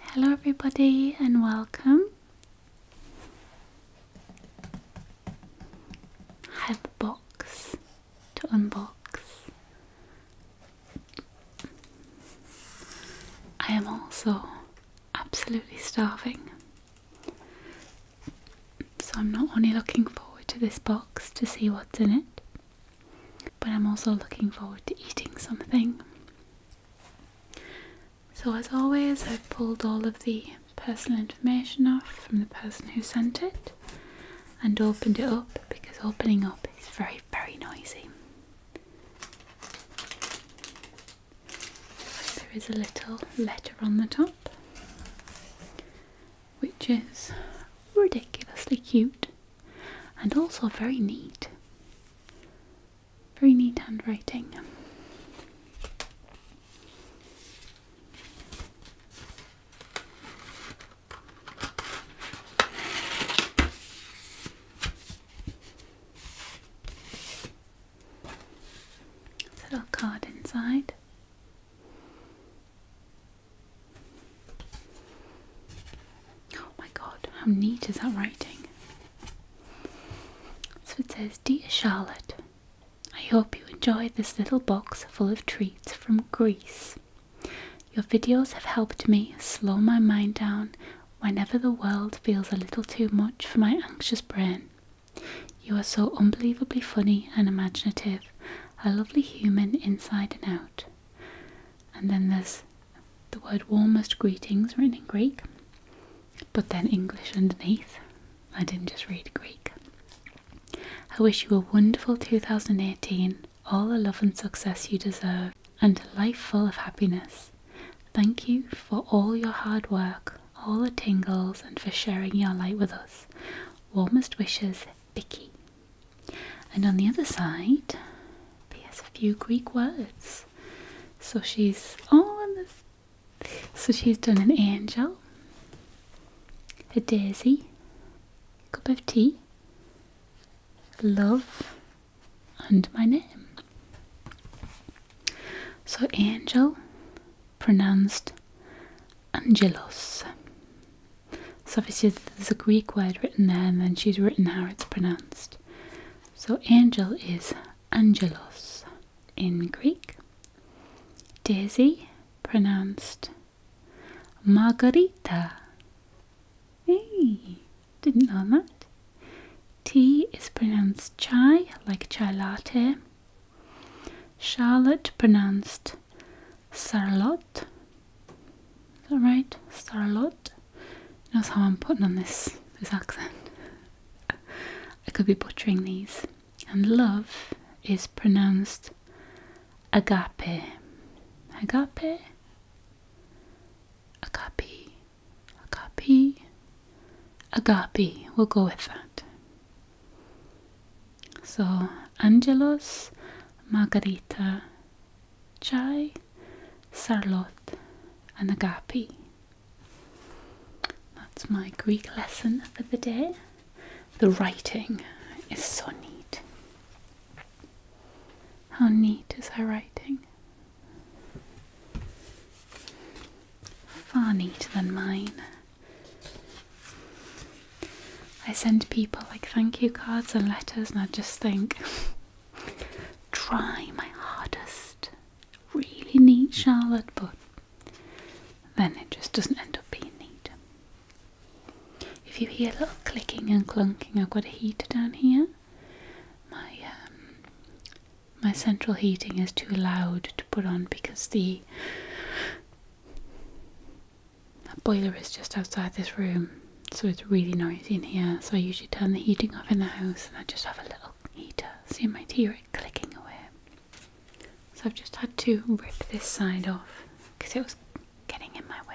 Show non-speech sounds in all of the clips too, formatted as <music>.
Hello, everybody, and welcome. I have a box to unbox. I am also absolutely starving. So I'm not only looking forward to this box to see what's in it, but I'm also looking forward to eating something. So, as always, I've pulled all of the personal information off from the person who sent it and opened it up because opening up is very, very noisy. There is a little letter on the top which is ridiculously cute and also very neat. Very neat handwriting. There's a little card inside. Oh my god, how neat is that writing? So it says Dear Charlotte, I hope you enjoy this little box full of treats from Greece. Your videos have helped me slow my mind down whenever the world feels a little too much for my anxious brain. You are so unbelievably funny and imaginative, a lovely human inside and out. And then there's the word warmest greetings written in Greek, but then English underneath. I didn't just read Greek. I wish you a wonderful 2018, all the love and success you deserve, and a life full of happiness. Thank you for all your hard work, all the tingles, and for sharing your light with us. Warmest wishes, Bicky. And on the other side, has a few Greek words. So she's oh, So she's done an angel, a daisy, a cup of tea, love, and my name. So angel, pronounced Angelos. So obviously there's a Greek word written there and then she's written how it's pronounced. So angel is Angelos in Greek. Daisy pronounced Margarita. Hey, didn't know that. Tea is pronounced chai, like chai latte. Charlotte pronounced "Charlotte." Is that right? Sarlot? Knows how I'm putting on this this accent. I could be butchering these. And love is pronounced agape. Agape? Agape. Agape. Agape. We'll go with that. So, Angelos, Margarita, Chai, Charlotte, and Agape. That's my Greek lesson for the day. The writing is so neat. How neat is her writing? Far neater than mine. I send people like thank you cards and letters, and I just think, try my hardest. Really neat, Charlotte, but then it just doesn't end up being neat. If you hear a little clicking and clunking, I've got a heater down here. My um, my central heating is too loud to put on because the that boiler is just outside this room, so it's really noisy in here. So I usually turn the heating off in the house and I just have a little heater. So you might hear it clicking away. So I've just had to rip this side off because it was getting in my way.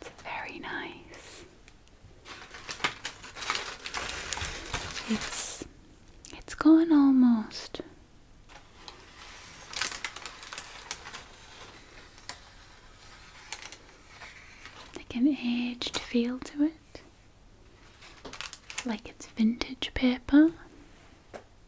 That's very nice. It's it's gone almost. Like an aged feel to it. Like it's vintage paper.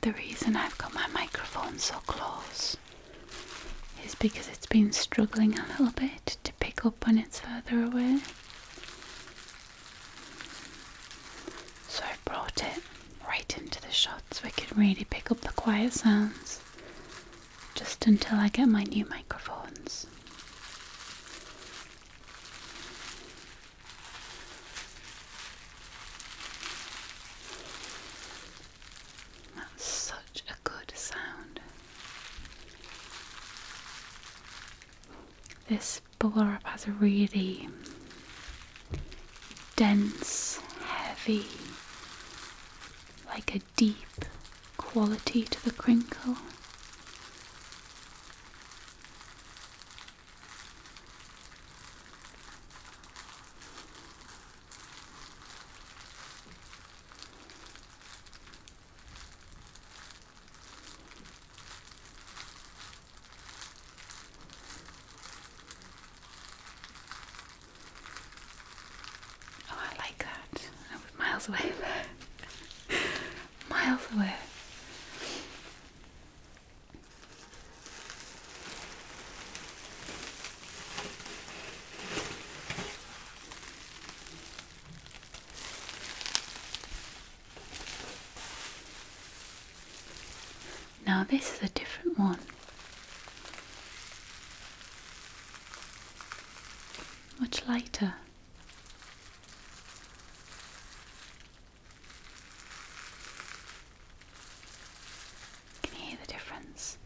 The reason I've got my microphone so close is because it's been struggling a little bit to pick up when it's further away. So I brought it right into the shot so I can really pick up the quiet sounds just until I get my new microphones. That's such a good sound. This bubble has a really dense, heavy, like a deep quality to the crinkle. Oh, I like that. miles away. <laughs> miles away. Now, this is a different one. Much lighter. Can you hear the difference?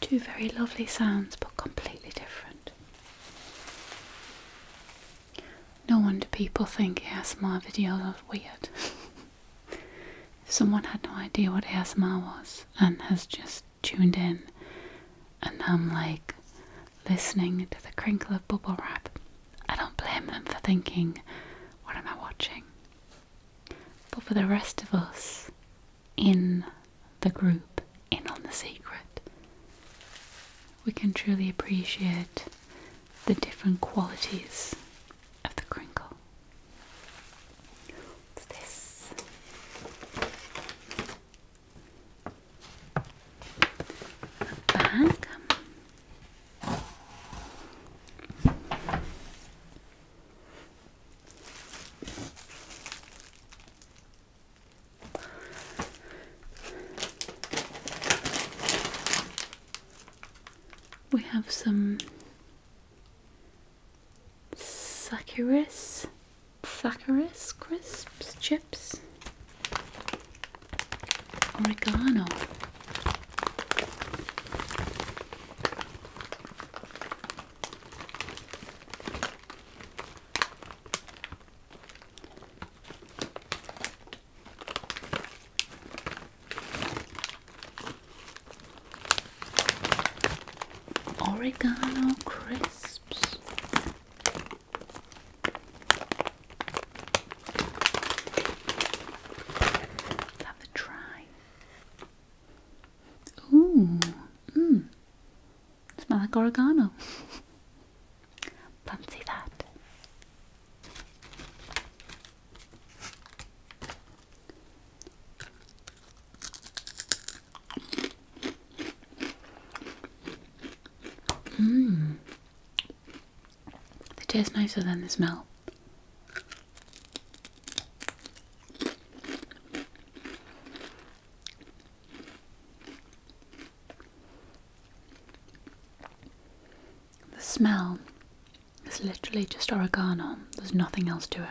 Two very lovely sounds, but completely different. No wonder people think ASMR videos are weird. <laughs> if someone had no idea what ASMR was and has just tuned in and I'm like listening to the crinkle of bubble wrap. I don't blame them for thinking, what am I watching? But for the rest of us in the group, in on the secret, we can truly appreciate the different qualities of the crinkle. this? We have some Sakuris Saccharys crisps, chips, oregano. Oregano crisps. Have a try. Ooh, mmm. Smell like oregano. Fancy that. Mmm. They taste nicer than the smell. The smell is literally just oregano, there's nothing else to it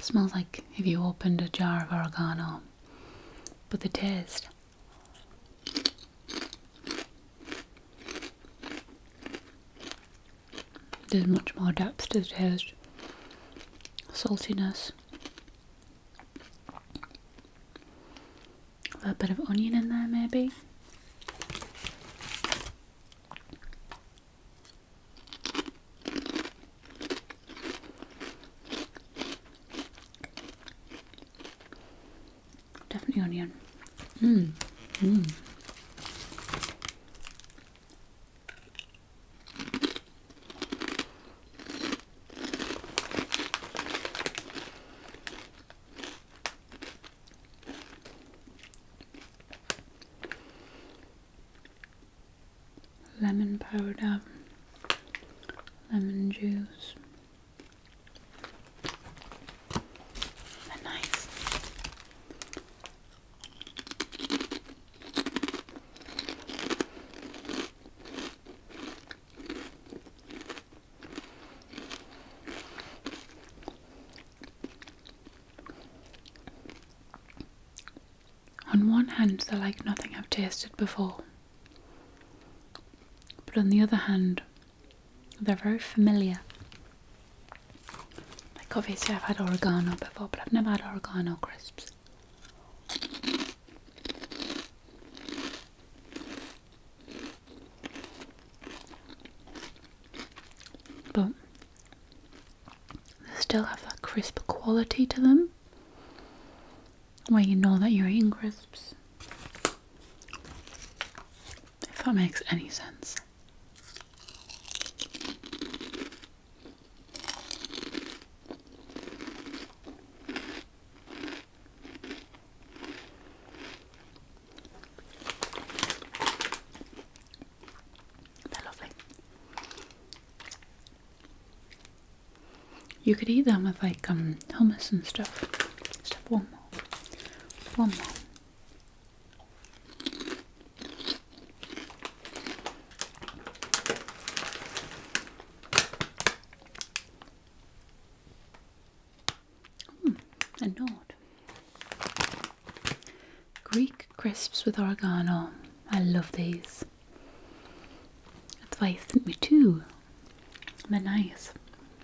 smells like if you opened a jar of oregano, but the taste. There's much more depth to the taste, saltiness, a bit of onion in there, maybe. Definitely onion. Mmm. Mmm lemon powder, lemon juice. nice. On one hand, they're like nothing I've tasted before, but on the other hand, they're very familiar. Like, obviously, I've had oregano before, but I've never had oregano crisps. But they still have that crisp quality to them, where you know that you're in grips, If that makes any sense. They're lovely. You could eat them with like um hummus and stuff. Just one more. One more. Mm, a nod. Greek crisps with oregano. I love these. That's why he sent me two. They're nice.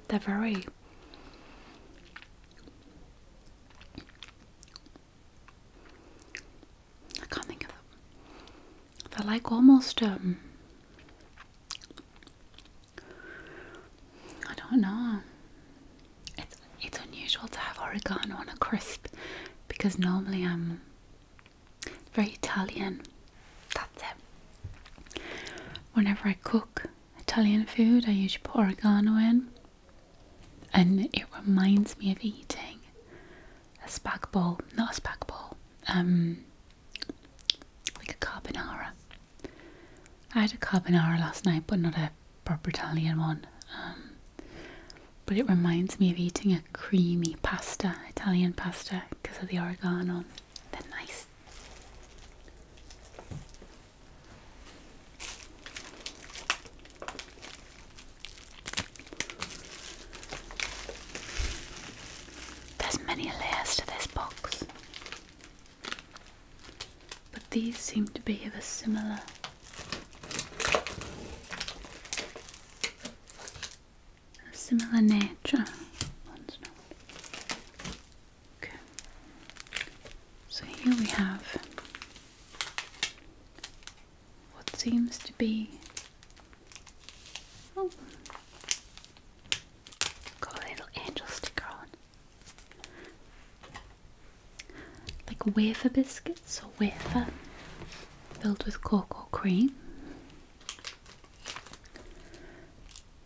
They're very I can't think of them. They're like almost um, I don't know. It's it's unusual to have oregano on a crisp because normally I'm um, very Italian. That's it. Whenever I cook Italian food, I usually put oregano in, and it reminds me of eating a spaghetti not a spaghetti, um, like a carbonara. I had a carbonara last night, but not a proper Italian one. Um, but it reminds me of eating a creamy pasta, Italian pasta, because of the oregano. they nice. There's many layers to this box, but these seem to be of a similar a similar nature. Okay. So here we have what seems to be oh, got a little angel sticker on, like wafer biscuits or wafer filled with cocoa cream.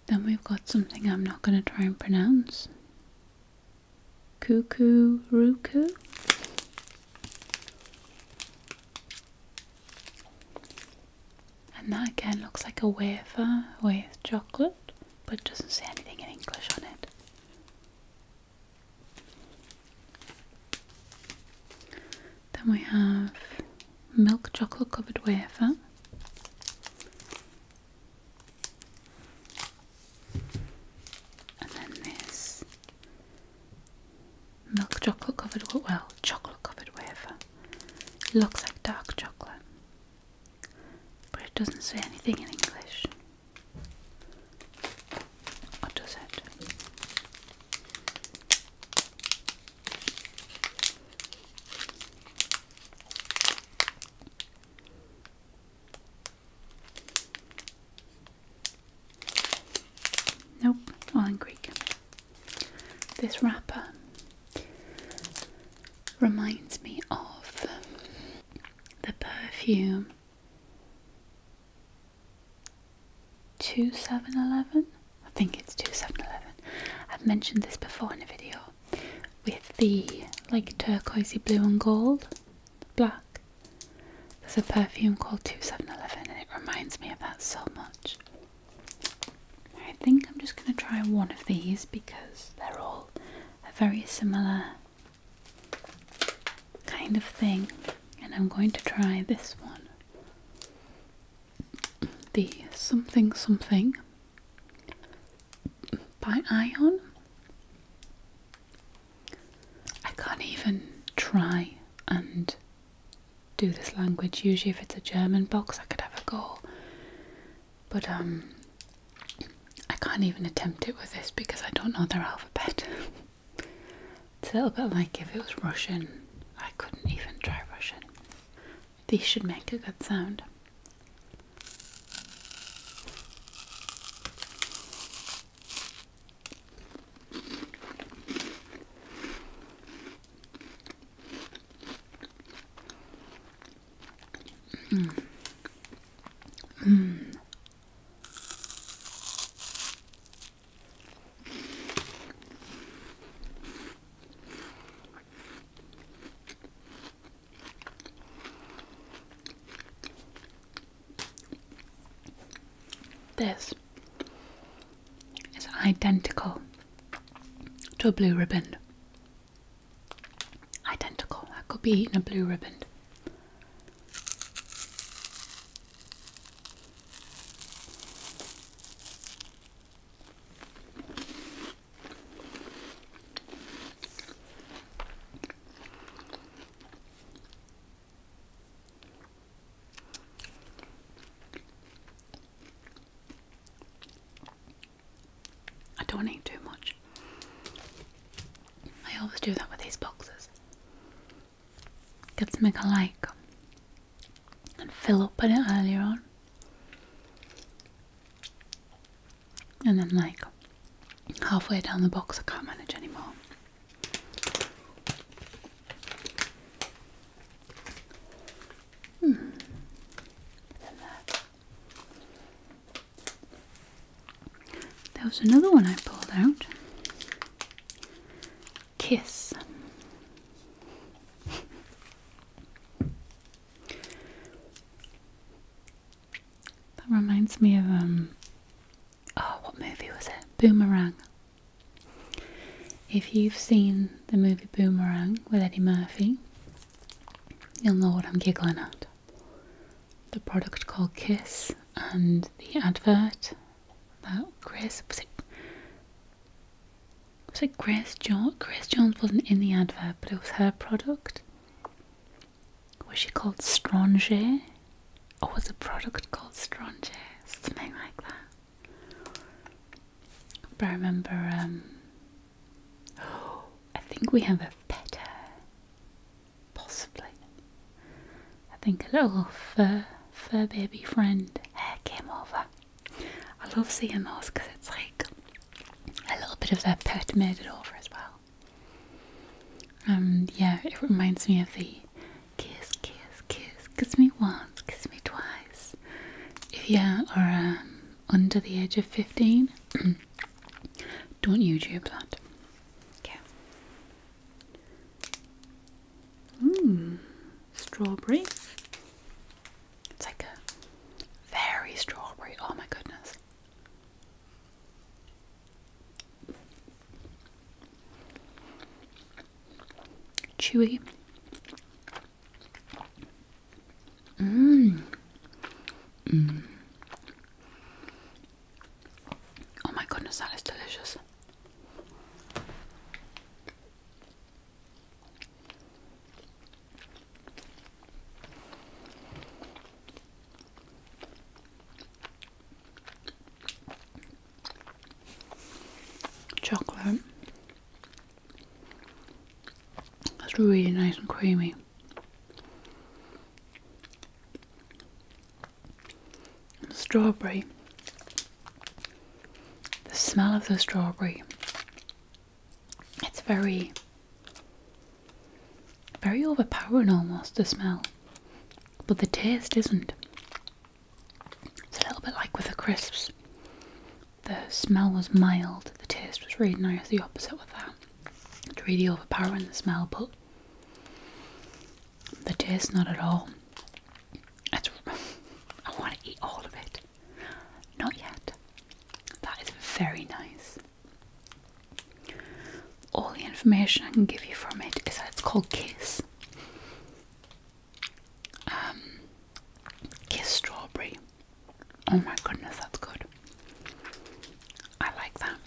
Then we've got something I'm not going to try and pronounce. Cuckoo Ruku. And that again looks like a wafer with chocolate, but doesn't say anything in English on it. Then we have milk chocolate covered wafer. And then this milk chocolate covered well, chocolate covered wafer. looks like dark chocolate. But it doesn't say anything in English. What does it? Nope, all in Greek. This wrapper reminds me of the perfume two seven eleven. I think it's two seven eleven. I've mentioned this before in a video with the like turquoisey blue and gold, black. There's a perfume called two seven eleven, and it reminds me of that so much. I think I'm just gonna try one of these because they're all a very similar kind of thing, and I'm going to try this one the Something Something by Ion. I can't even try and do this language. Usually, if it's a German box, I could have a go, but um, I can't even attempt it with this because I don't know their alphabet. <laughs> It's a little bit like if it was Russian. I couldn't even try Russian. These should make a good sound. Mm. Mm. This is identical to a blue ribbon. Identical. That could be eaten a blue ribbon. I don't eat too much. I always do that with these boxes. Get to make a like and fill up a it earlier on, and then like halfway down the box, I can't manage anymore. Hmm. There was another one I pulled out. Kiss. that reminds me of um oh what movie was it? Boomerang. If you've seen the movie Boomerang with Eddie Murphy, you'll know what I'm giggling at. The product called Kiss and the advert that Chris was it was it Grace Jones? Grace Jones wasn't in the advert, but it was her product. Was she called Strange? Or was a product called Strange? Something like that. I remember, um, <gasps> I think we have a better. Possibly. I think a little fur, fur baby friend came over. I love seeing those because it's like a little bit of their pet made it over as well. Um, yeah, it reminds me of the kiss, kiss, kiss, kiss me once, kiss me twice. Yeah, or um, under the age of 15, <clears throat> don't YouTube that. Okay. Hmm strawberry. It's like a very strawberry. Oh my goodness. Chewy. Mmm. Mmm. Oh my goodness, that is delicious. Chocolate. That's really nice and creamy. strawberry the smell of the strawberry. It's very, very overpowering almost, the smell. But the taste isn't. It's a little bit like with the crisps. The smell was mild, the taste was really nice, the opposite with that. It's really overpowering the smell, but the taste not at all. I want to eat all of it. Not yet. That is very nice. All the information I can give you from it is that it's called Kiss. Um, Kiss Strawberry. Oh my goodness, that's good. I like that.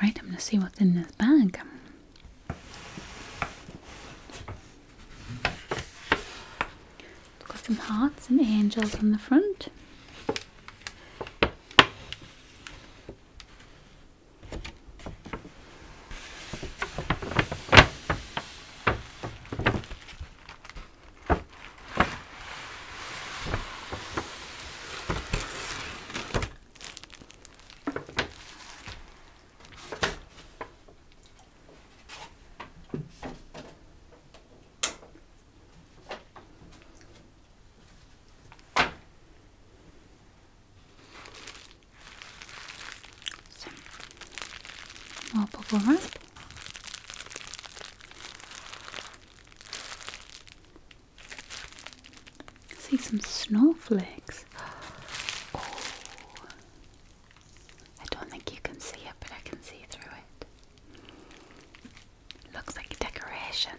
Right, I'm going to see what's in this bag. It's got some hearts and angels on the front. So, more bubble wrap. I see some snowflakes. <gasps> I don't think you can see it, but I can see through it. Looks like decoration.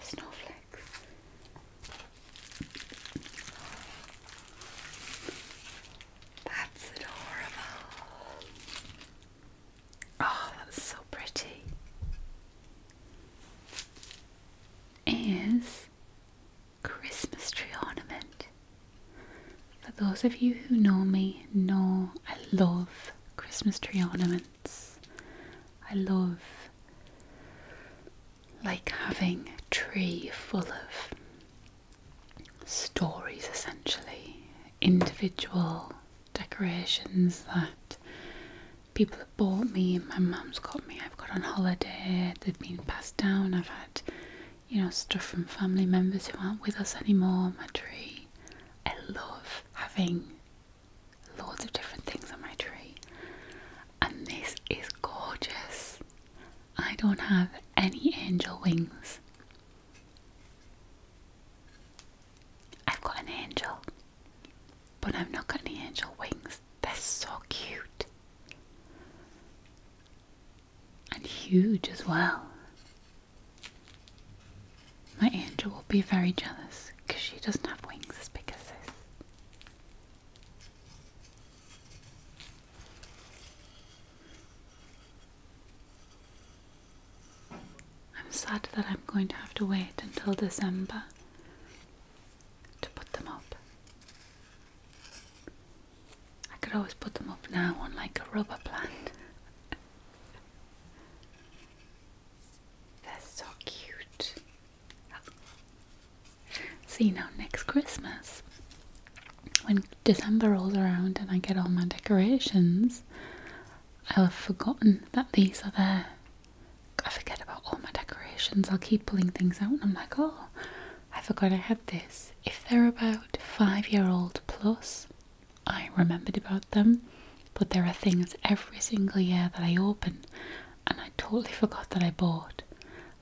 snowflakes. That's adorable. Oh, that is so pretty. Is Christmas tree ornament. For those of you who know me, know I love Christmas tree ornaments. I love like having a tree full of stories essentially, individual decorations that people have bought me, my mum's got me, I've got on holiday, they've been passed down, I've had you know, stuff from family members who aren't with us anymore, my tree. I love having lots of different things on my tree, and this is gorgeous. I don't have any angel wings. I've got an angel, but I've not got any angel wings. They're so cute and huge as well. My angel will be very jealous because she doesn't have wings as big as this. I'm sad that I'm going to have to wait until December to put them up. I could always put them up now on like a rubber plant. They're so cute. See now next Christmas when December rolls around and I get all my decorations, I'll have forgotten that these are there. I forget about all my decorations. I'll keep pulling things out and I'm like, oh, I forgot I had this. If they're about five year old plus, I remembered about them, but there are things every single year that I open and I totally forgot that I bought.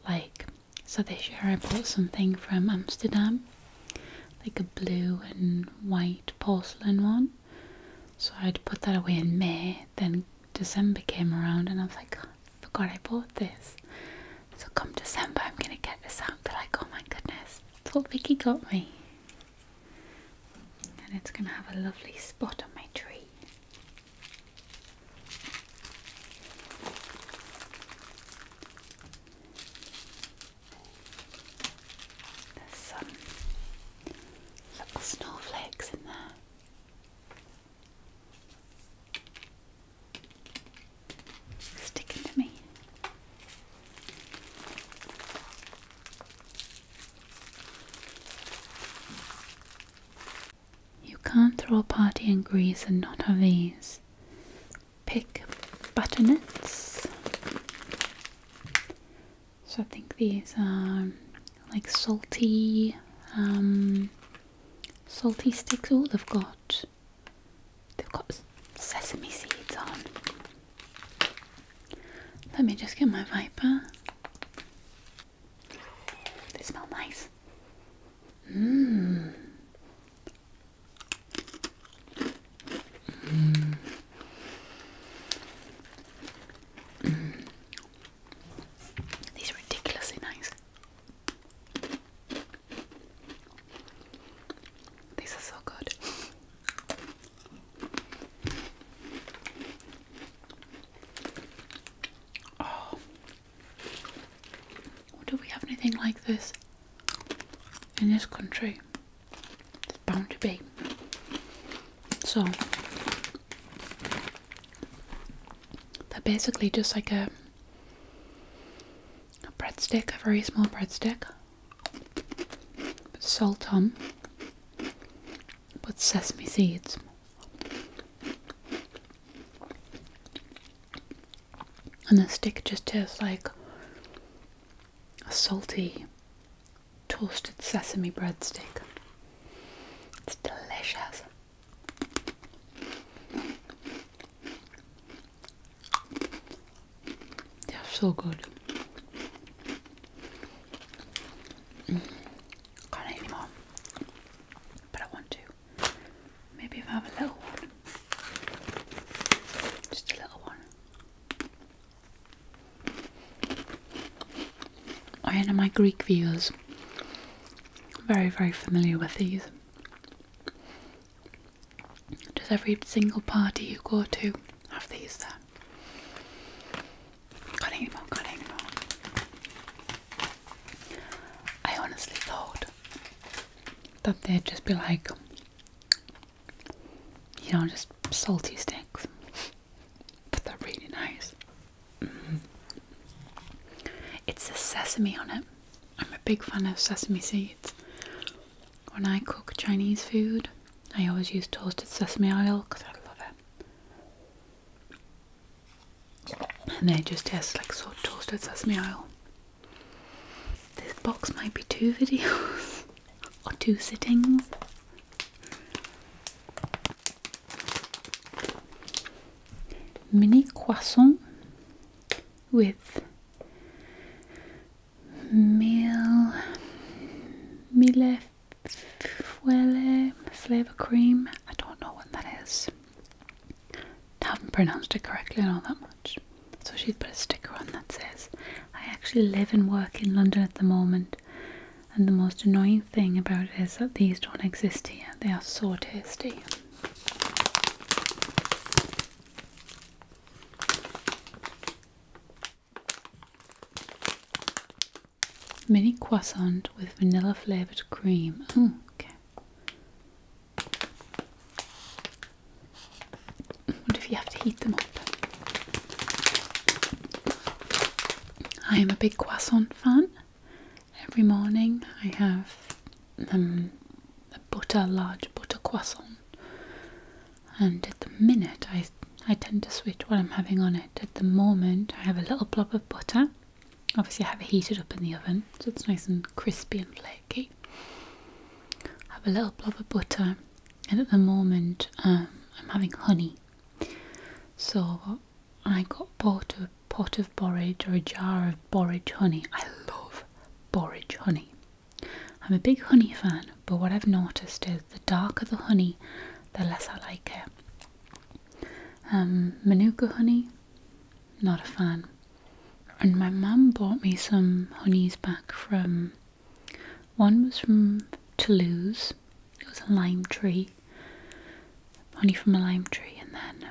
Like, so this year I bought something from Amsterdam, like a blue and white porcelain one. So I'd put that away in May, then December came around and I was like, oh, forgot I bought this. So come December, I'm going to get this out. they like, oh my goodness, that's what Vicky got me. And it's going to have a lovely spot on my tree. There's some little snowflakes in there sticking to me. You can't throw a party in Greece and not have these. Pick buttonets. So I think these are like salty, um, salty sticks. All they've got They've got sesame seeds on. Let me just get my Viper. They smell nice. Mmm. Mm. Mm. These are ridiculously nice. These are so good. Oh. do we have anything like this in this country? It's bound to be. So they're basically just like a a breadstick, a very small breadstick. salt on. Put sesame seeds. And the stick just tastes like a salty toasted sesame breadstick. It's delicious. They are so good. Can't eat anymore, but I want to. Maybe have a little one, just a little one. I know my Greek viewers. Very, very familiar with these. Does every single party you go to have these there? Can't eat anymore, can't eat anymore. I honestly thought that they'd just be like, you know, just salty sticks. But they're really nice. Mm-hmm. It's the sesame on it. I'm a big fan of sesame seeds. When I cook Chinese food, I always use toasted sesame oil because I love it. And they just taste like so toasted sesame oil. This box might be two videos <laughs> or two sittings. Mini croissant with Mil Millefuele flavour cream. I don't know what that is. I haven't pronounced it correctly at all that much. So she's put a sticker on that says, I actually live and work in London at the moment. And the most annoying thing about it is that these don't exist here. They are so tasty. Mini croissant with vanilla flavored cream. Oh, okay. I if you have to heat them up. I am a big croissant fan. Every morning I have um, a butter, large butter croissant. And at the minute, I, I tend to switch what I'm having on it. At the moment, I have a little blob of butter. Obviously, I have it heated up in the oven, so it's nice and crispy and flaky. I have a little blob of butter, and at the moment, um, I'm having honey. So I got bought a pot of borage or a jar of borage honey. I love borage honey. I'm a big honey fan, but what I've noticed is the darker the honey, the less I like it. Um, Manuka honey, not a fan. And my mum bought me some honeys back from. One was from Toulouse, it was a lime tree, honey from a lime tree, and then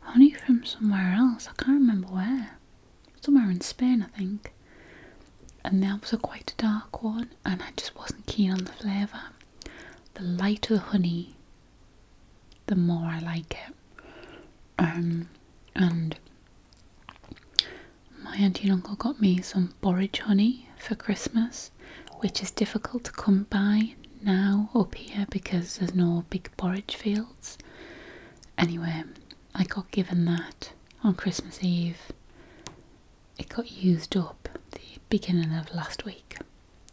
Honey from somewhere else, I can't remember where. Somewhere in Spain, I think. And that was a quite dark one, and I just wasn't keen on the flavour. The lighter the honey, the more I like it. Um, and my auntie and uncle got me some borage honey for Christmas, which is difficult to come by now up here because there's no big borage fields. Anyway, I got given that on Christmas Eve. It got used up the beginning of last week.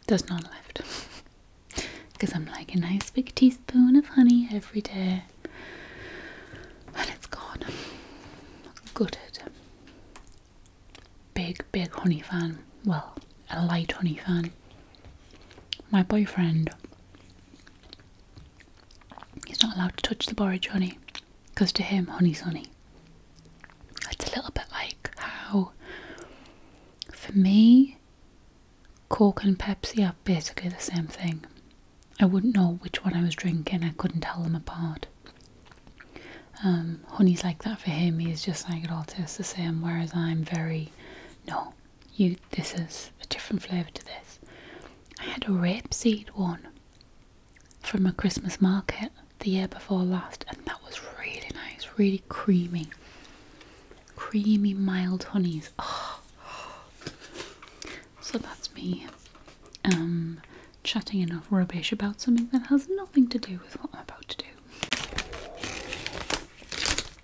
There's none left. Because <laughs> I'm like a nice big teaspoon of honey every day. And it's gone. Gutted. Big, big honey fan. Well, a light honey fan. My boyfriend He's not allowed to touch the borage honey to him, honey's honey. It's a little bit like how, for me, Coke and Pepsi are basically the same thing. I wouldn't know which one I was drinking, I couldn't tell them apart. Um, honey's like that for him, he's just like it all tastes the same, whereas I'm very, no, you this is a different flavour to this. I had a rapeseed one from a Christmas market the year before last and that was really nice, really creamy. Creamy mild honeys. Oh. <sighs> So that's me um chatting enough rubbish about something that has nothing to do with what I'm about to do.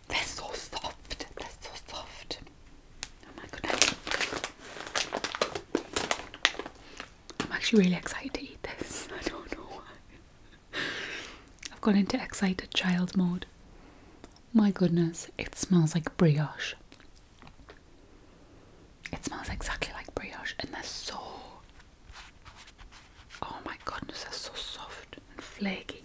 They're so soft. They're so soft. Oh my goodness. I'm actually really excited to eat this. <laughs> I don't know why. I've gone into excited child mode. My goodness, it smells like brioche. It smells exactly like brioche, and they're so. Oh my goodness, they're so soft and flaky.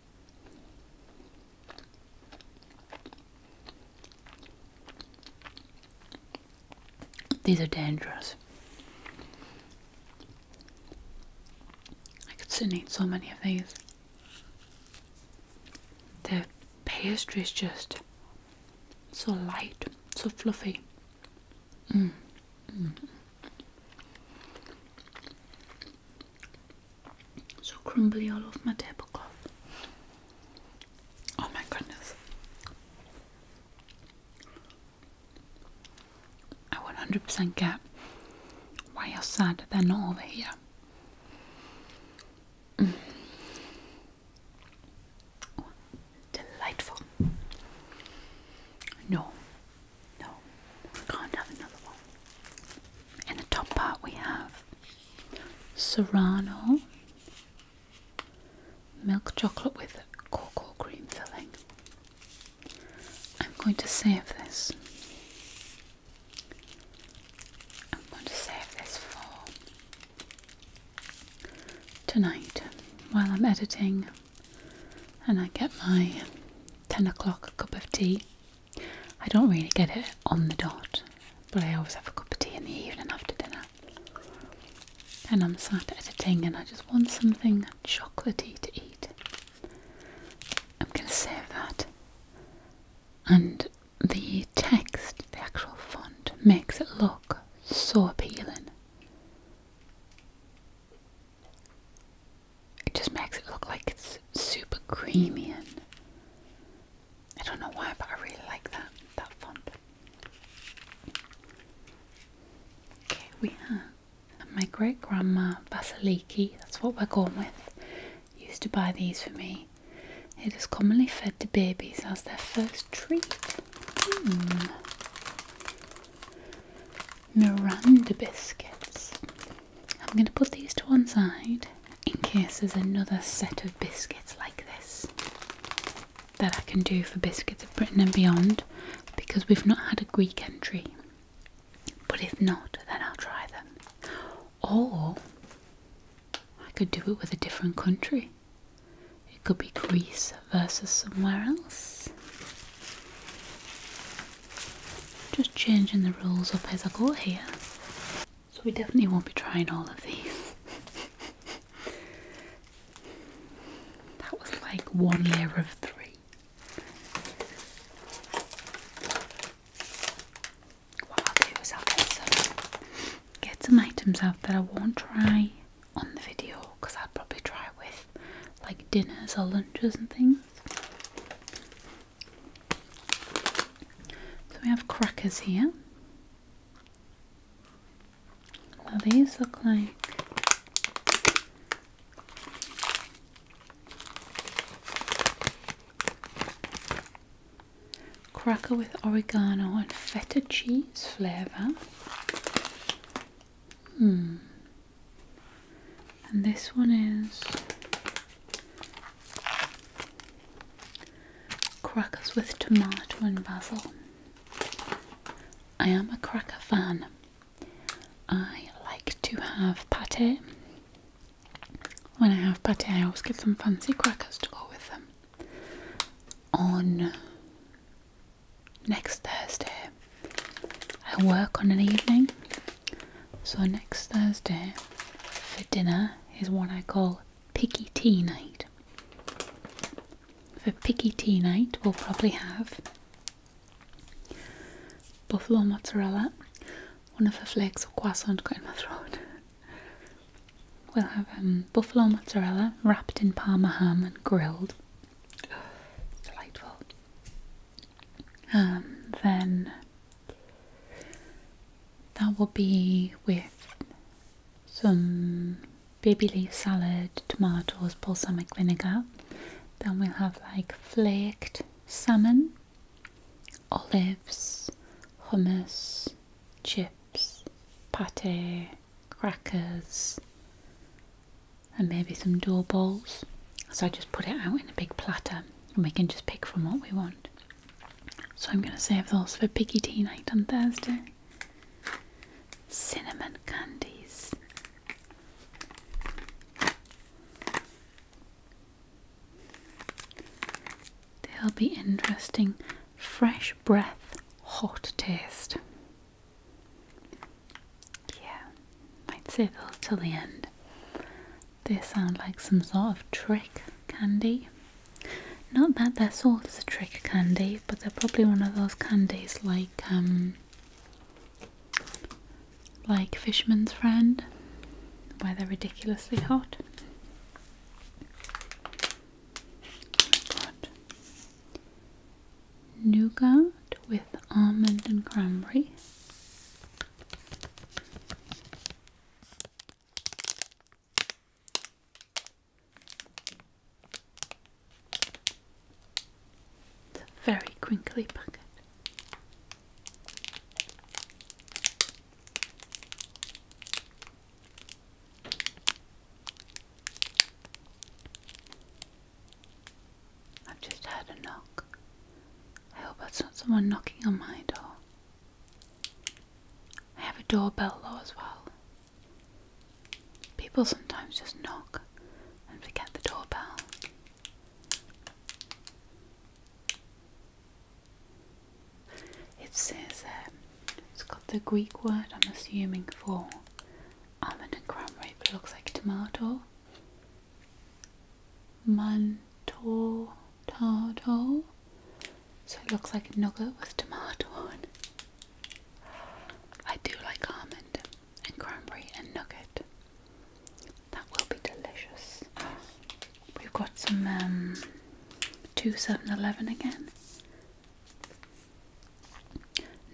These are dangerous. I could soon eat so many of these. The pastry is just so light, so fluffy. Mm. Mm so crumbly all over my tablecloth. Oh my goodness. I 100% get why you're sad they're not over here. Mm. delightful. No, no, I can't have another one. In the top part we have Serrano milk chocolate with cocoa cream filling. I'm going to save this. I'm going to save this for tonight while I'm editing and I get my 10 o'clock cup of tea. I don't really get it on the dot, but I always have a cup of tea in the evening after dinner. And I'm sad editing and I just want something chocolatey to eat. I'm going to save that. And the text, the actual font, makes it look so appealing. It just makes it look like it's super creamy and I don't know why, but I really like that that font. Okay, we have my great grandma Vasiliki, that's what we're going with, used to buy these for me. It is commonly fed to babies as their first treat. Hmm. Miranda biscuits. I'm going to put these to one side in case there's another set of biscuits like this that I can do for Biscuits of Britain and Beyond because we've not had a Greek entry. But if not, then I'll try them. Or I could do it with a different country. It could be Greece versus somewhere else. Just changing the rules up as I go here. So we definitely won't be trying all of these. <laughs> that was like one layer of three. What I'll do is I'll get some, get some items out that I won't try on the video because I'd probably try with like dinners or lunches and things. So we have crackers here. Now these look like cracker with oregano and feta cheese flavour. Hmm and this one is crackers with tomato and basil. I am a cracker fan. I like to have pate. When I have pate, I always get some fancy crackers to go with them. On next Thursday, I work on an evening so next Thursday for dinner is what I call picky tea night. For picky tea night we'll probably have buffalo mozzarella, one of the flakes of croissant got in my throat. We'll have um, buffalo mozzarella wrapped in parma ham and grilled. delightful. Um, then that will be with some baby leaf salad, tomatoes, balsamic vinegar. Then we'll have like flaked salmon, olives, hummus, chips, pate, crackers, and maybe some dough balls. So I just put it out in a big platter and we can just pick from what we want. So I'm going to save those for Piggy Tea Night on Thursday. Cinnamon candies. They'll be interesting. Fresh breath, hot taste. Yeah, might save those till the end. They sound like some sort of trick candy. Not that they're sold as trick candy, but they're probably one of those candies like um like Fishman's Friend, where they're ridiculously hot. Got nougat with almond and cranberry. It's a very crinkly packet. I've just heard a knock. I hope that's not someone knocking on my door. I have a doorbell though as well. People sometimes just knock and forget the doorbell. It says um, it's got the Greek word, I'm assuming, for almond and cranberry, but it looks like tomato. Manto tomato. So it looks like a nugget with tomato on. I do like almond and cranberry and nugget. That will be delicious. We've got some um, 2 7 again.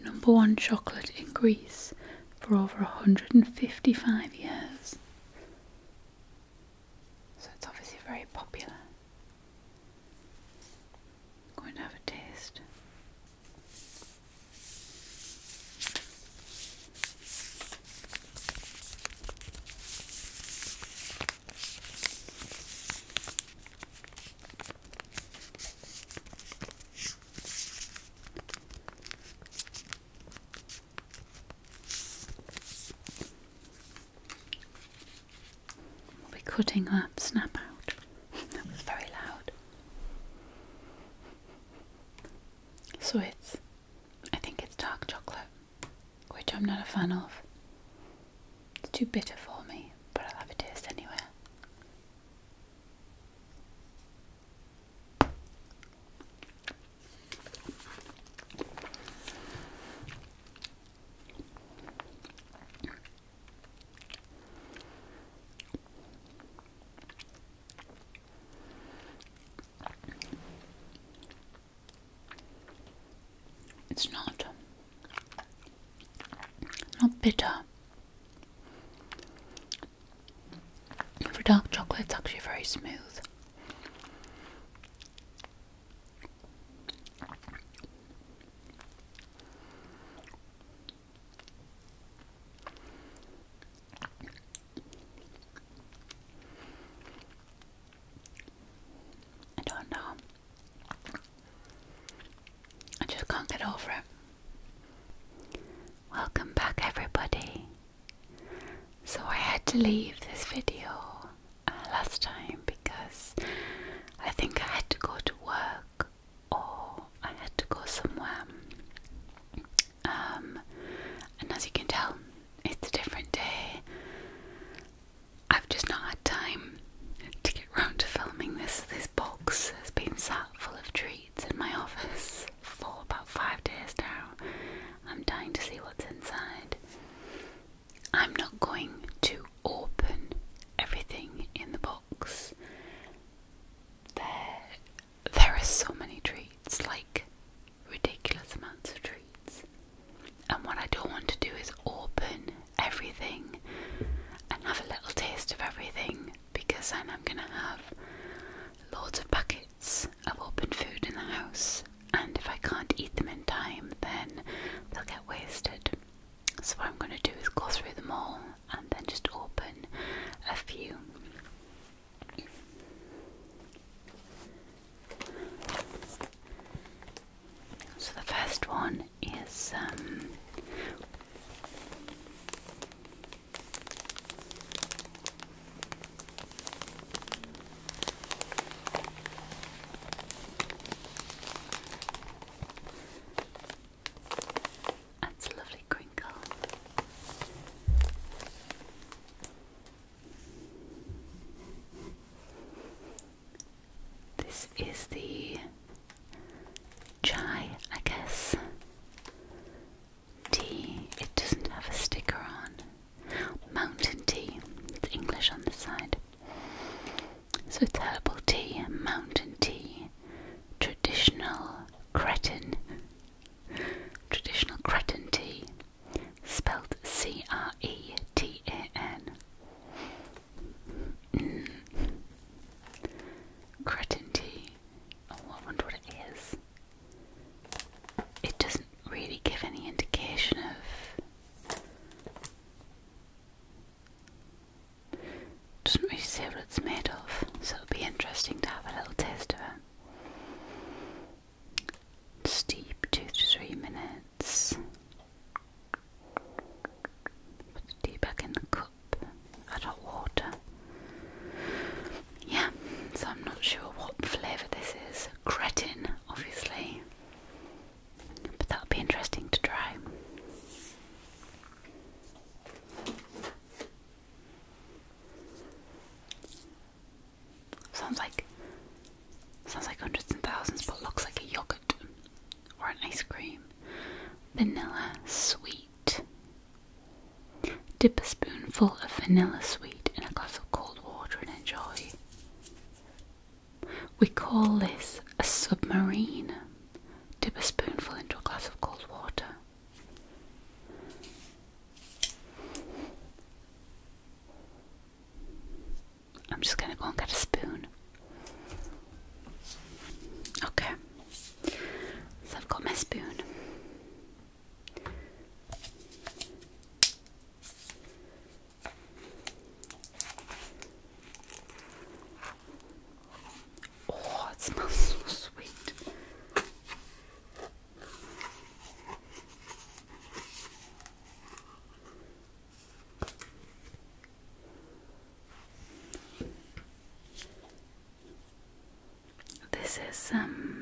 Number one chocolate in Greece for over 155 years. So it's obviously very popular. going to have a taste. We'll be cutting that snap out. <laughs> that was very loud. So it's, I think it's dark chocolate, which I'm not a fan of. It's too bitter for me, but I'll have a taste anyway. It's not not bitter. For dark chocolate, it's actually very smooth. I don't know. I just can't get over it. Welcome back, everybody. So, I had to leave this video uh, last time because I think I had to go to work or I had to go somewhere. Um, and as you can tell, it's a different day. I've just not had time to get round to filming this. This box has been sat full of treats in my office for about five days now. I'm dying to see what's inside. I'm not going to open everything in the box. There, there are so many treats, like ridiculous amounts of treats. And what I don't want to do is open everything and have a little taste of everything because then I'm gonna have loads of buckets. I've opened food in the house, and if I can't eat them in time, then they'll get wasted. So, what I'm going to do is go through them all and then just open a few. So, the first one is um, that's lovely crinkle. This is the chai, I guess. Tea. It doesn't have a sticker on. Mountain tea. It's English on the side. So it's herbal tea, mountain tea, traditional cretin. Traditional cretin tea. Spelled C R E T A N. Mm. tea. Oh, I wonder what it is. It doesn't really give any indication of doesn't really say what it's made of, so it'll be interesting to have a little taste of it. Steep two to three minutes. Put the tea back in the cup. Add hot water. Yeah, so I'm not sure what flavour this is cretin, obviously. But that'll be interesting to try. Sounds like sounds like hundreds and thousands, but looks like a yogurt or an ice cream. Vanilla sweet. Dip a spoonful of vanilla sweet in a glass of cold water and enjoy. We call this a submarine. Dip a spoonful into a glass of cold water. I'm just going to go and get a spoon. Okay, so I've got my spoon. Oh, it smells so sweet. This is um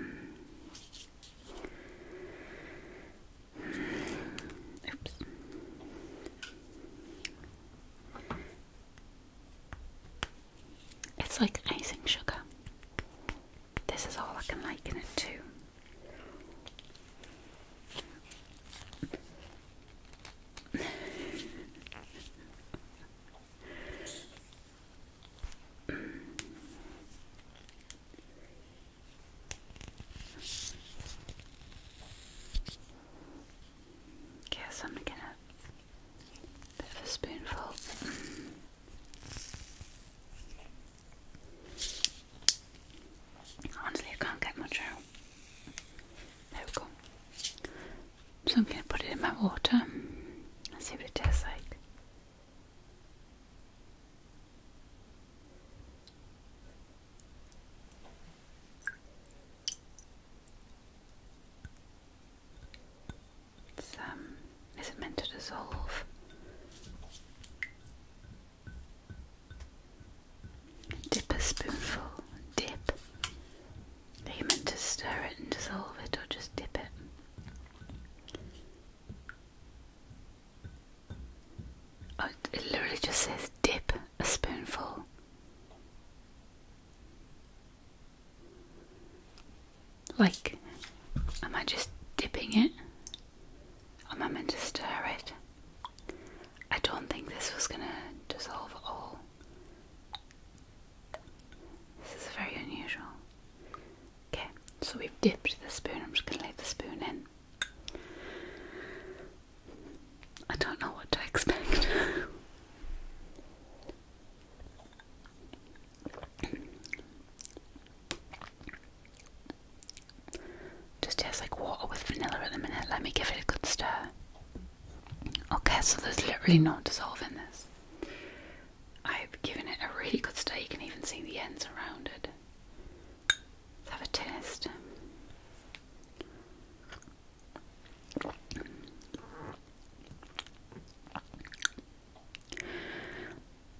it's like icing sugar. This is all I can like in it too. Guess I'm gonna get a spoonful. Honestly, I can't get much out. There we go. So I'm going to put it in my water and see what it tastes like. It's, um, is it meant to dissolve? Dip a spoonful, dip. Are you meant to stir it and dissolve it or just dip it? Oh, it literally just says dip a spoonful. Like, am I just dipping it? Am I meant to stir it? I don't think this was gonna dissolve at all. This is very unusual. Okay, so we've dipped the spoon. I'm just gonna leave the spoon in. I don't know what to expect. Just tastes like water with vanilla at the minute. Let me give it a good stir. Okay, so there's literally no dissolving this. I've given it a really good stir. You can even see the ends around it have a taste.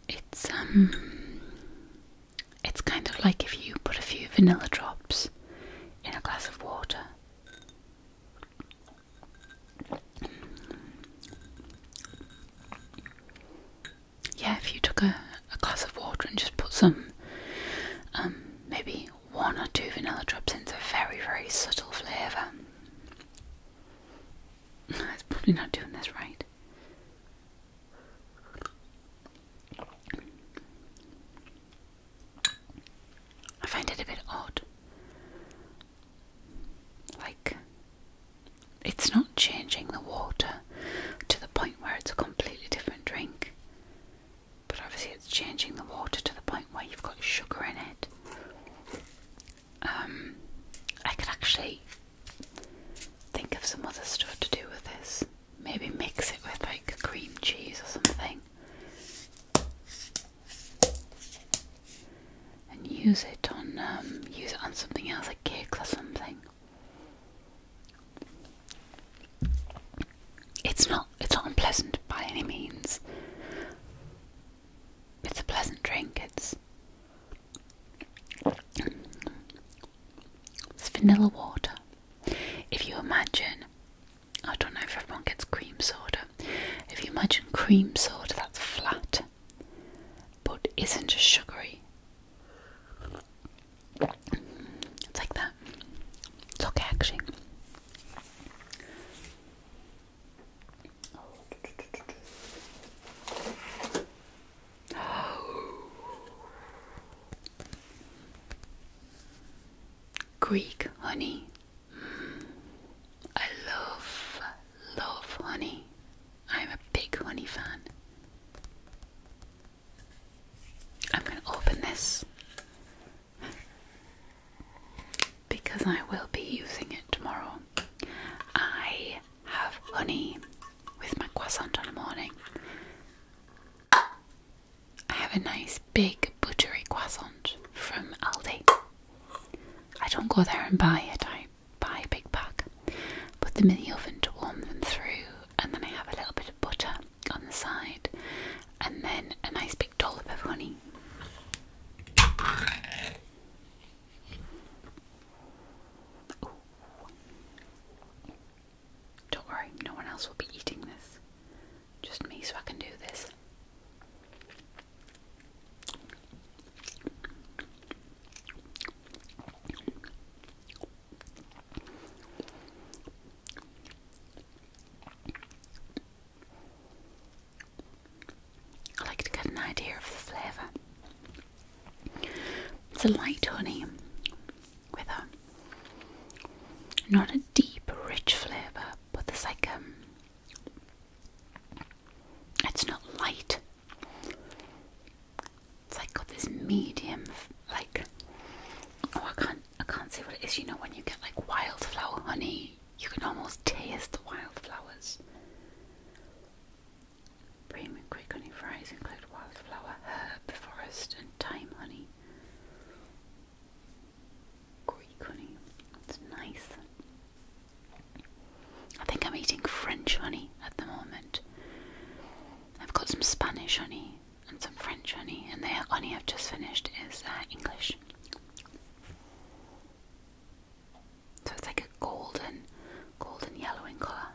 It's um it's kind of like if you put a few vanilla drops in a glass of water yeah, if you took a, a glass of water and just put some, um, maybe one or two vanilla drops in, it's a very, very subtle flavour. it's probably not doing this right. I find it a bit odd. Like, it's not changing the water to the point where it's a completely different drink. But obviously, it's changing the water to the point where you've got sugar in it. Um, I could actually think of some other stuff to do with this. Maybe mix it with like cream cheese or something. And use it on um, use it on something else, like cakes or something. It's not it's not unpleasant by any means. It's a pleasant drink, it's it's vanilla water. If you imagine I don't know if everyone gets cream soda. If you imagine cream soda that's flat but isn't as sugary it's like that. It's okay, actually. <gasps> Greek honey. Mm. I love, love honey. I'm a big honey fan. I'm going to open this because I will be using it tomorrow. I have honey with my croissant on the morning. I have a nice big buttery croissant from Aldi. I don't go there and buy it, I buy a big pack. Put them in the oven to warm them through, and then I have a little bit of butter on the side, and then a nice big dollop of honey. Don't worry, no one else will be eating this. Just me, so I can do this. I like to get an idea of the flavour. It's a light honey with a not a deep, rich flavour, but there's like a. Um, it's not light. It's like got this medium, like oh, I can't, I can't see what it is. You know when you get like wildflower honey, you can almost taste the wildflowers. Premium quick honey fries include wildflower, herb, forest, and thyme honey. Greek honey, it's nice. I think I'm eating French honey at the moment. I've got some Spanish honey, and some French honey, and the honey I've just finished is uh, English. So it's like a golden, golden yellow in colour.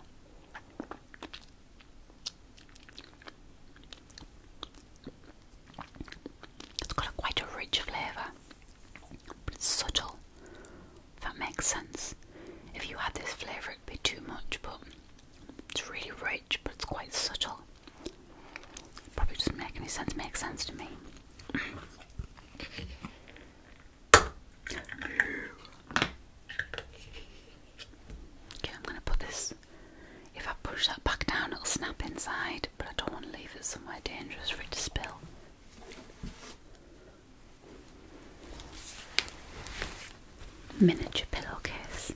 It's got quite a rich flavour, but it's subtle. If that makes sense. If you had this flavour, it'd be too much, but it's really rich, but it's quite subtle. Probably doesn't make any sense. Makes sense to me. Okay, I'm gonna put this. If I push that back down, it'll snap inside, but I don't want to leave it somewhere dangerous for it to spill. Miniature pillowcase.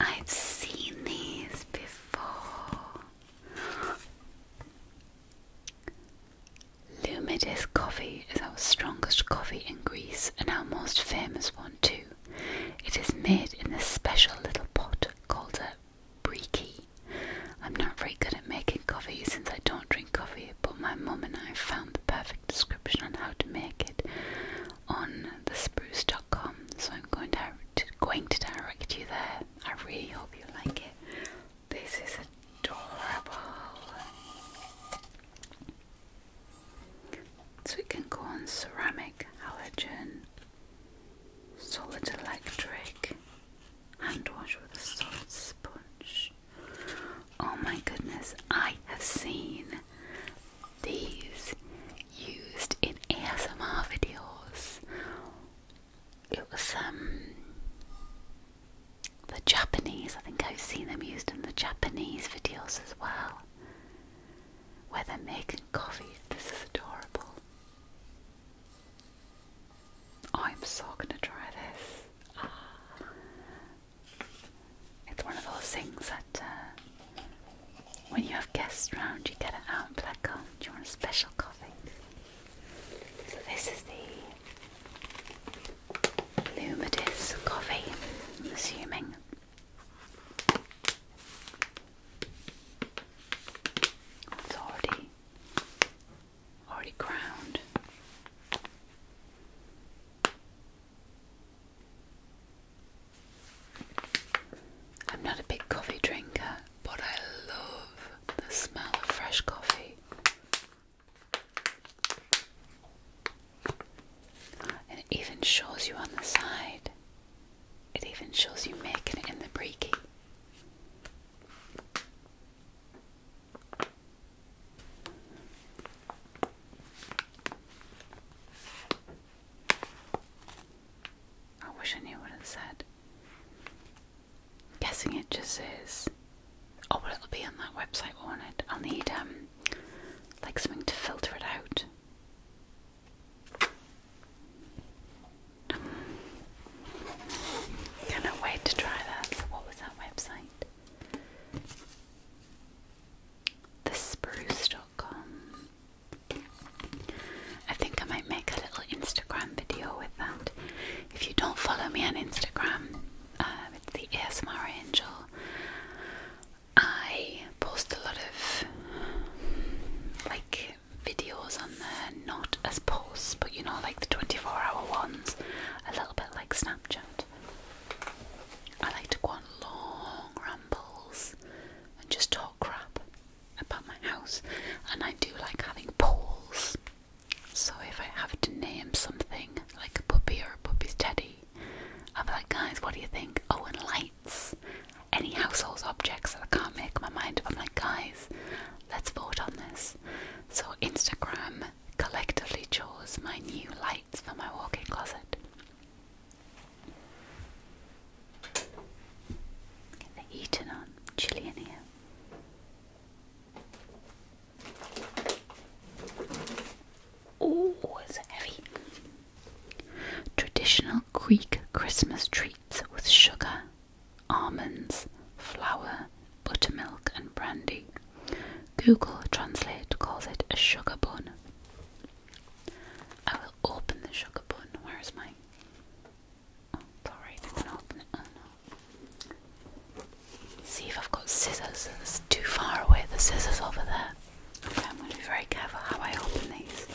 I've seen these before. Lumidis coffee is our strongest coffee in Greece and our most famous one. It is made in a special little pot called a briki. I'm not very good at making coffee since I don't drink coffee, but my mom and I found the perfect description on how to make it on thespruce.com, so I'm going to, going to direct you there. I really hope you like it. This is adorable. So it can go on ceramic, halogen, solid electric, hand wash with a solid sponge. Oh my goodness, I have seen these used in ASMR videos. It was um, the Japanese, I think I've seen them used in the Japanese videos as well where they're making coffee. This is adorable. I'm so gonna try this. Ah. It's one of those things that uh, when you have guests round, you get it out and be like, oh, do you want a special coffee? So this is the Lumadis coffee, I'm assuming. It's already already ground. I'm not a big coffee drinker, but I love the smell of fresh coffee. And it even shows you on the side. It even shows you making it in the breaky. I wish I knew what it said. guessing it just says. Oh, well, it'll be on that website, won't it? I'll need um like something to filter it out. Cannot wait to try that. what was that website? Thespruce.com. I think I might make a little Instagram video with that. If you don't follow me on Instagram, uh, it's the ASMR Angel. I post a lot of like videos on there, not as posts, but you know, like the 24 hour ones, a little bit like Snapchat. I like to go on long rambles and just talk crap about my house, and I do like having polls. So if I have to name something like a puppy or a puppy's teddy, I'll like, guys, what do you think? Oh, and lights. Any household objects that I can't make my mind up. I'm like, guys, let's vote on this. So Instagram collectively chose my new lights for my walk-in closet. Get the heating on. Chilly in here. Traditional Greek Christmas treats with sugar, almonds, flour, buttermilk, and brandy. Google Translate calls it a sugar bun. I will open the sugar bun. Where is my. Oh, it's I can not open it. Oh no. See if I've got scissors. It's too far away, the scissors over there. Okay, I'm going to be very careful how I open these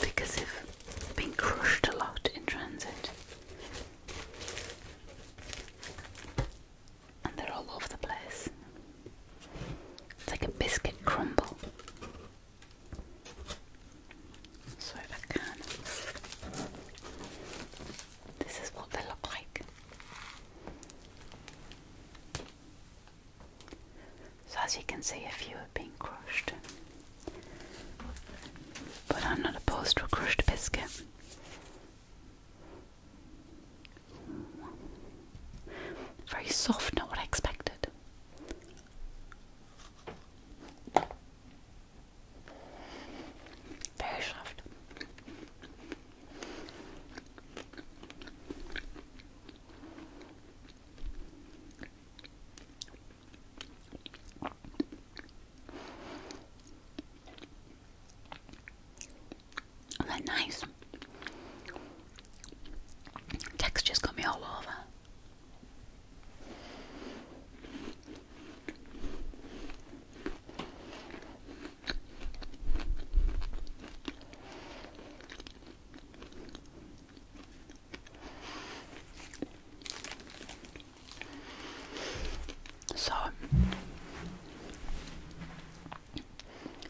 because they've been crushed a lot in transit. And they're all over the place. It's like a biscuit crumble. So if I can, this is what they look like. So as you can see, a few have been crushed. But I'm not opposed to a crushed biscuit. Very soft, not what I expected. Very soft they're nice. Texture's got me all over. So,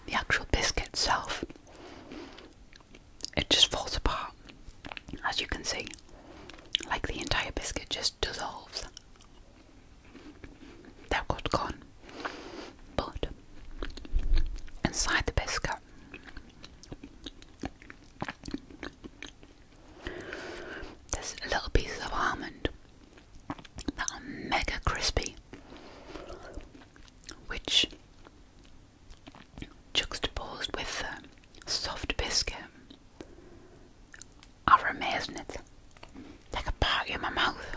the actual biscuit itself, it just falls apart, as you can see. Like the entire biscuit just dissolves. They're good gone. But inside the biscuit there's little pieces of almond that are mega crispy, which juxtaposed with the soft biscuit are amazing. It's like a party in my mouth.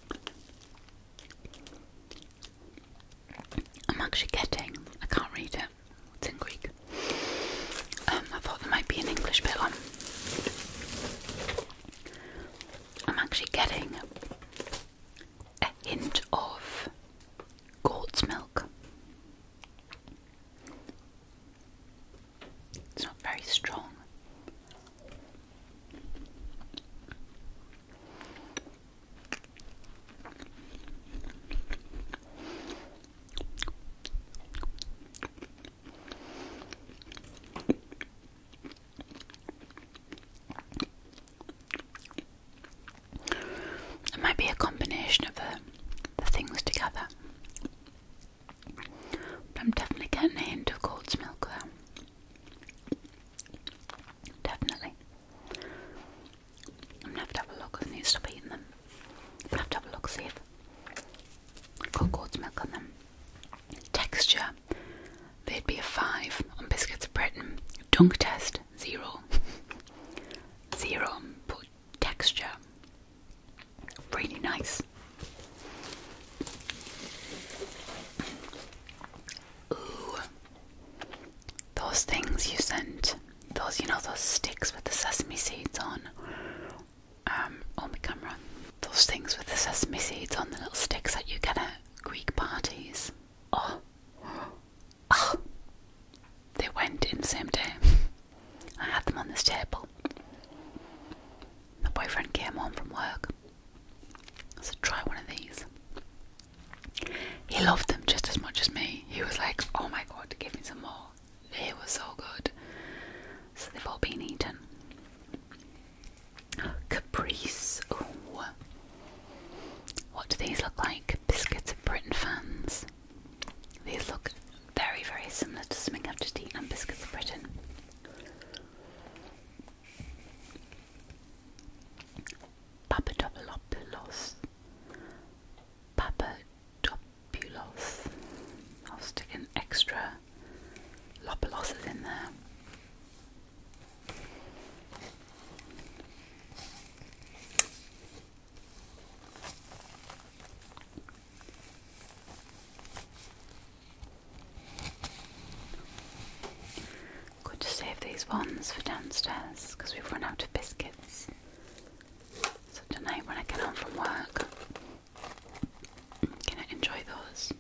I'm actually getting, I can't read it, it's in Greek. Um, I thought there might be an English bit on. I'm actually getting a hint of goat's milk. It's not very strong, it might be a combination of the, things together. I'm definitely getting a hint of goat's milk there. Definitely. I'm gonna have to have a look. I need to stop eating them. I'm gonna have to have a look, see if got goat's milk on them. Texture, they'd be a five on Biscuits of Britain. Dunk test, zero, <laughs> zero. Put texture, really nice. Ooh. Those things you sent, those, you know, those sticks with the sesame seeds on. Um, on camera. Those things with the sesame seeds on the little sticks that you get at Greek parties. Oh. <gasps> Oh. They went in same day. <laughs> I had them on this table. My boyfriend came home from work so try one of these. He loved them just as much as me. He was like, oh my god, give me some more. They were so good. So they've all been eaten. Caprice. What do these look like? Biscuits of Britain fans. These look very, very similar to something I've just eaten Biscuits of Britain. Papadopoulos. Papadopoulos. I'll stick an extra lopelosses in there. Going to save these ones for downstairs because we've run out of biscuits. So tonight, when I get home from work, I'm gonna enjoy those.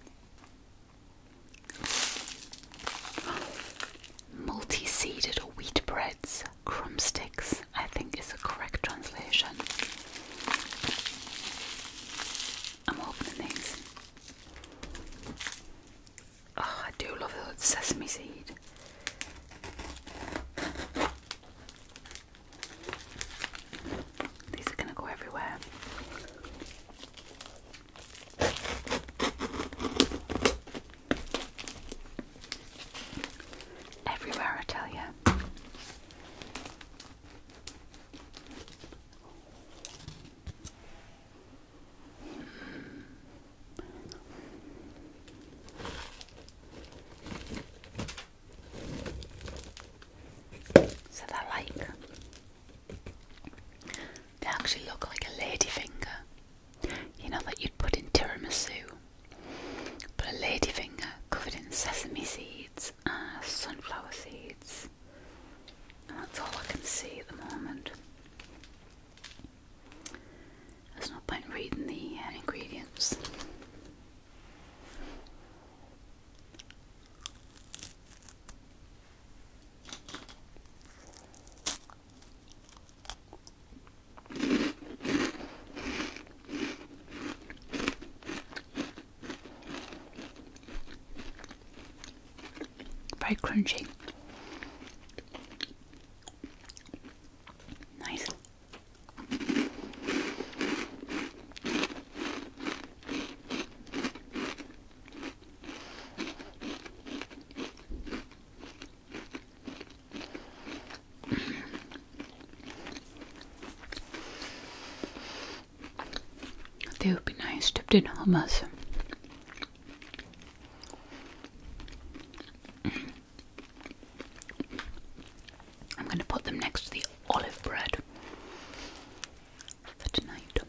<gasps> Multi-seeded wheat breads, crumb sticks, I think is the correct translation. I'm opening these. Oh, I do love the sesame seed. These are going to go everywhere. Everywhere, I tell you. So they're like, they actually look like a ladyfinger, you know, that you'd put in tiramisu, but a ladyfinger covered in sesame seeds and sunflower seeds that's all I can see at the moment. There's no point reading the uh, ingredients. Very crunchy. Nice. They would be nice dipped in hummus. I'm going to put them next to the olive bread for tonight.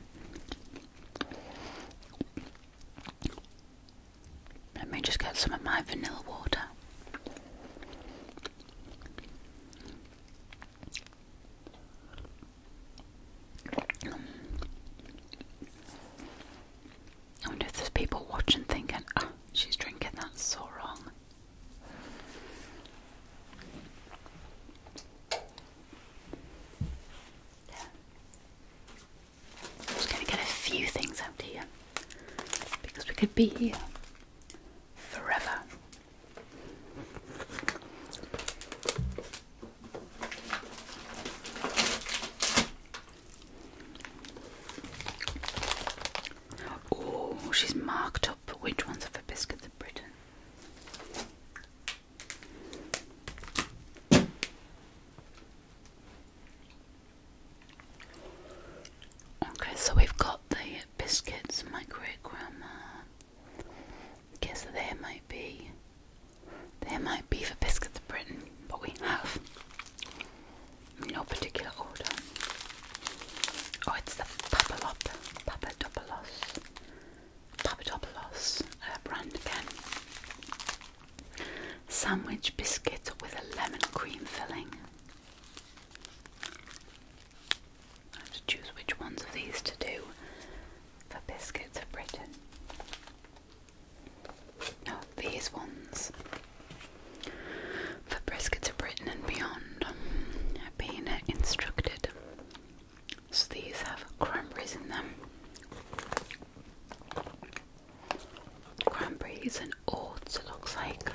Let me just get some of my vanilla water. I wonder if there's people watching thinking, ah, she's drinking, that's so wrong. I'm just going to get a few things out here because we could be here forever. Oh, she's marked up which ones are for biscuits of Britain. Okay, so we've got the biscuits, my great grandma Guess so there might be there might be for biscuits of Britain, but we have no particular order. Oh, it's the Papalop, Papadopoulos, Papadopoulos uh, brand again. Sandwich biscuit with a lemon cream filling. I have to choose which ones of these to do for biscuits of Britain. No, these ones. For biscuits of Britain and beyond i have been uh, instructed. So these have cranberries in them. Cranberries and oats, it looks like.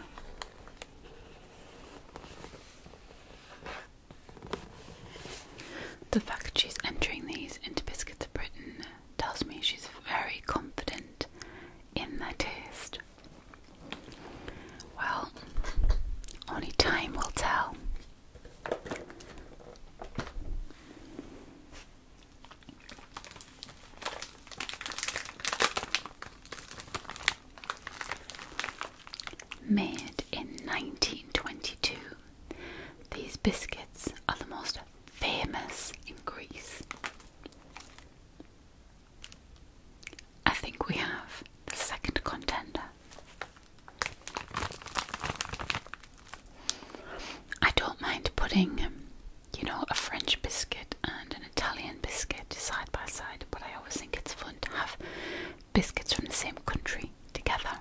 The fact that she's entering these into Biscuits of Britain tells me she's very confident in their taste. Well, only time will tell. Made in 1922 these biscuits are the most famous in Greece. I think we have the second contender. I don't mind putting, um, you know, a French biscuit and an Italian biscuit side by side, but I always think it's fun to have biscuits from the same country together.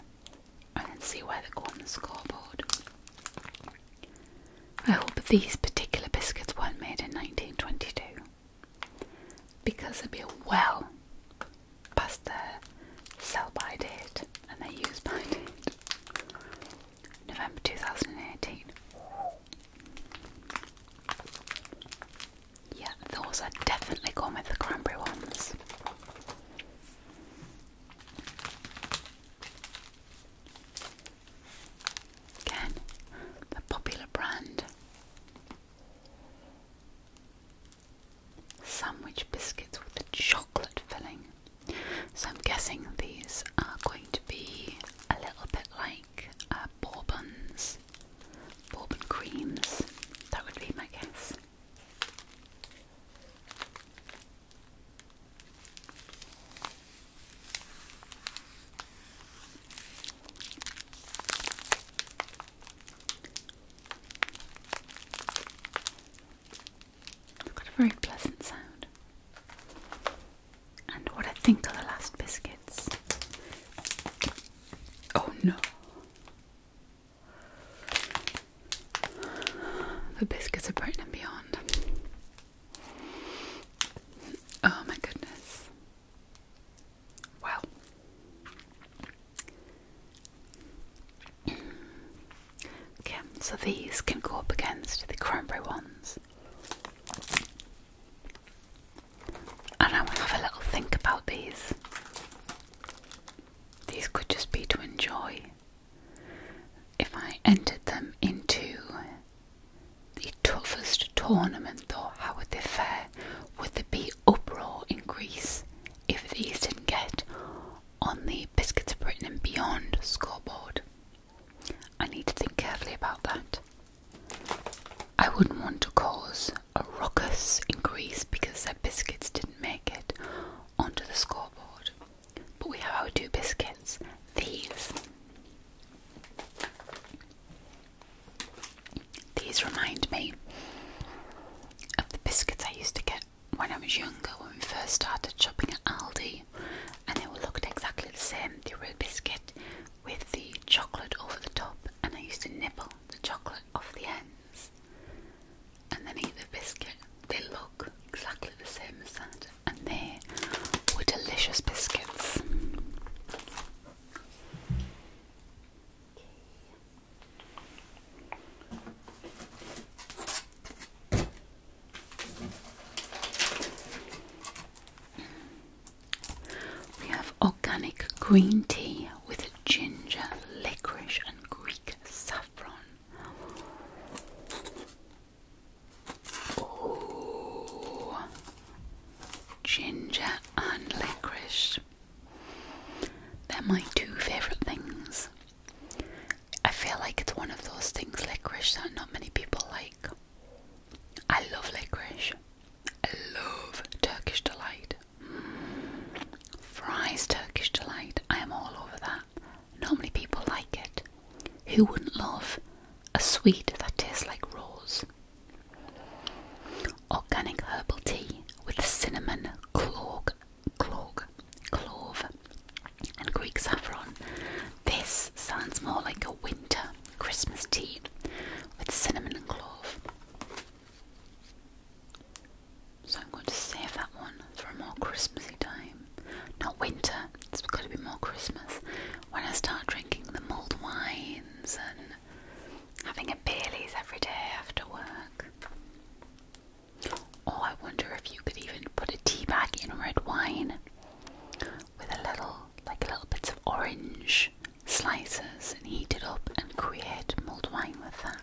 I can see where they go on the scoreboard. I hope these particular biscuits weren't made in 1922 because they'd be well past their sell by date and their use by date. November 2018. Yeah, those are definitely gone with the cranberry ones. Again, a popular brand. Sandwich biscuits with a chocolate filling. So I'm guessing these are going to be a little bit like uh, bourbons, bourbon creams. That would be my guess. It's got a very pleasant sound. And what I think are the last biscuits. Oh no. The biscuits are bright and beyond. Oh my goodness. Wow. so these can go up against the cranberry ones. And I will have a little think about these. These could just be to enjoy. If I entered them into the toughest tournament, though, how would they fare? Would there be uproar in Greece if these didn't get on the Biscuits Britain and Beyond scoreboard? I need to think carefully about that. I wouldn't want to cause a ruckus in Greece because their biscuits didn't make it, onto the scoreboard. But we have our two biscuits, these. These remind me of the biscuits I used to get when I was younger, when we first started shopping at Aldi, and they all looked exactly the same. The were biscuit with the chocolate over the top, and I used to nibble the chocolate off the ends and then eat the biscuit. They look exactly the same and they were delicious biscuits. We have organic green tea with ginger, licorice, and Greek saffron ginger and licorice. They're my two favourite things. I feel like it's one of those things, licorice, that not many people like. I love licorice. I love Turkish delight. Fries Turkish Delight. I am all over that. Normally people like it. Who wouldn't love a sweet that tastes like rose? Organic herbal tea with cinnamon, clove, clove, clove, and Greek saffron. This sounds more like a winter Christmas tea with cinnamon and clove. So I'm going to save that one for a more Christmassy time. Not winter, It's going to be more Christmas. When I start drinking the mulled wines and having a Baileys every day after work. Or oh, I wonder if you could even put a tea bag in red wine with a little, like little bits of orange slices and heat it up and create mulled wine with that.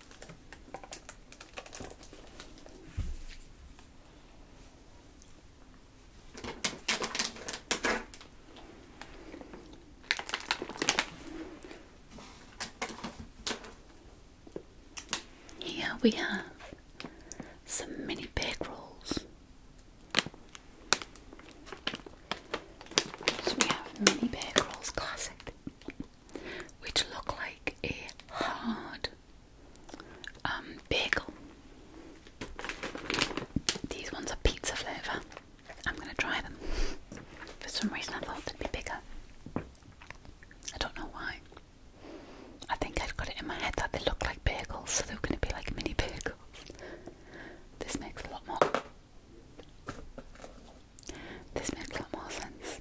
Here we have some mini bake rolls. So we have mini bake rolls classic which look like a hard um, bagel. These ones are pizza flavour. I'm going to try them. For some reason, I thought they'd be bigger. I don't know why. I think I'd got it in my head that they look like bagels, so they're going to be like mini bagels. This makes a lot more. This makes a lot more sense.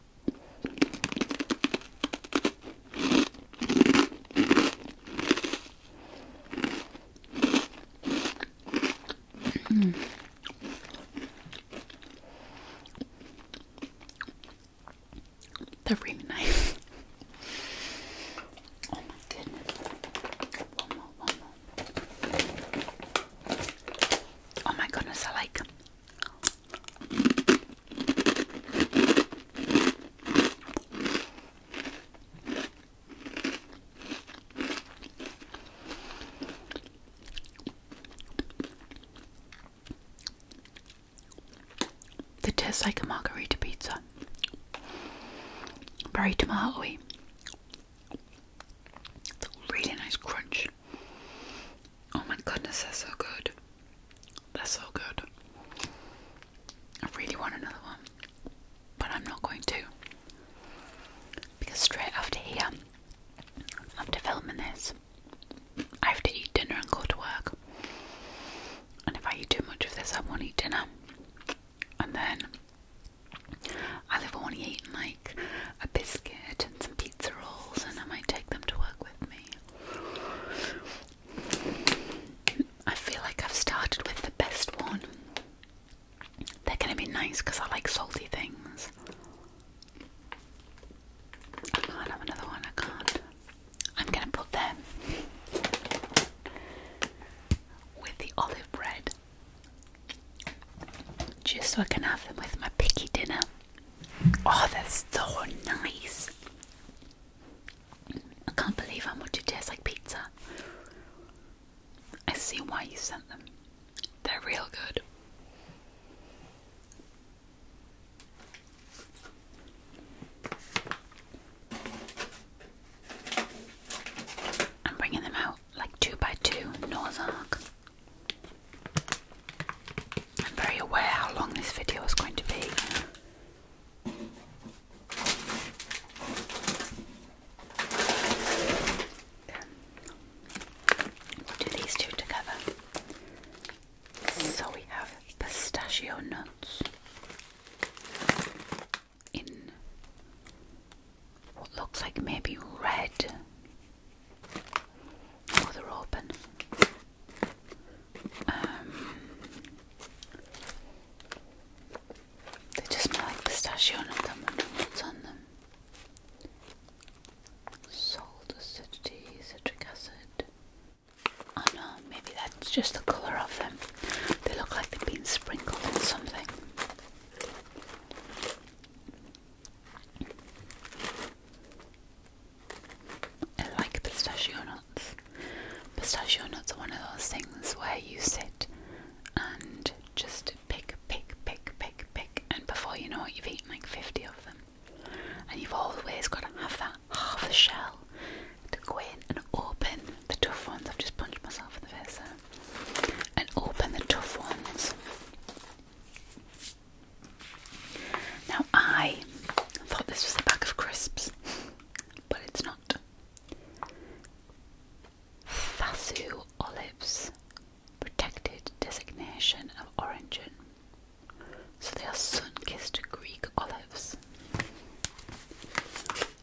Hmm. The They're <laughs> Oh my goodness. Oh my goodness, I like they taste like a margarita pizza. Very tomatoey. It's really nice crunch. Oh my goodness, that's so good. That's so good. I really want another one, but I'm not going to. Because straight after here, after filming this, I have to eat dinner and go to work. And if I eat too much of this, I won't eat dinner. And then I live only eating like a biscuit and some pizza rolls, and I might take them to work with me. I feel like I've started with the best one. They're going to be nice because I like salty things. I can't have another one, I can't. I'm going to put them with the olive bread just so I can have them with my picky dinner. Oh, that's so nice. I can't believe how much it taste like pizza. I see why you sent them. They're real good. I'm bringing them out like two by two, Noah's I'm very aware how long this video is going to be. Um, we'll do these two together. So we have pistachio nuts in what looks like maybe red. Oh, they open. Um, they just smell like pistachio, and I don't on them. Salt, acidity, citric acid. Oh no, maybe that's just the colour of them. They look like they've been sprinkled in something. I like pistachio nuts. Pistachio nuts are one of those things where you sit and just pick, pick, pick, pick, pick, and before you know it, you've eaten like 50 of them. And you've always got to have that half the shell to go in and open the tough ones. I've just punched myself in the face there. And open the tough ones. Now, I thought this was a bag of crisps, but it's not. Fasu olives, protected designation of origin. So they are sun kissed Greek olives.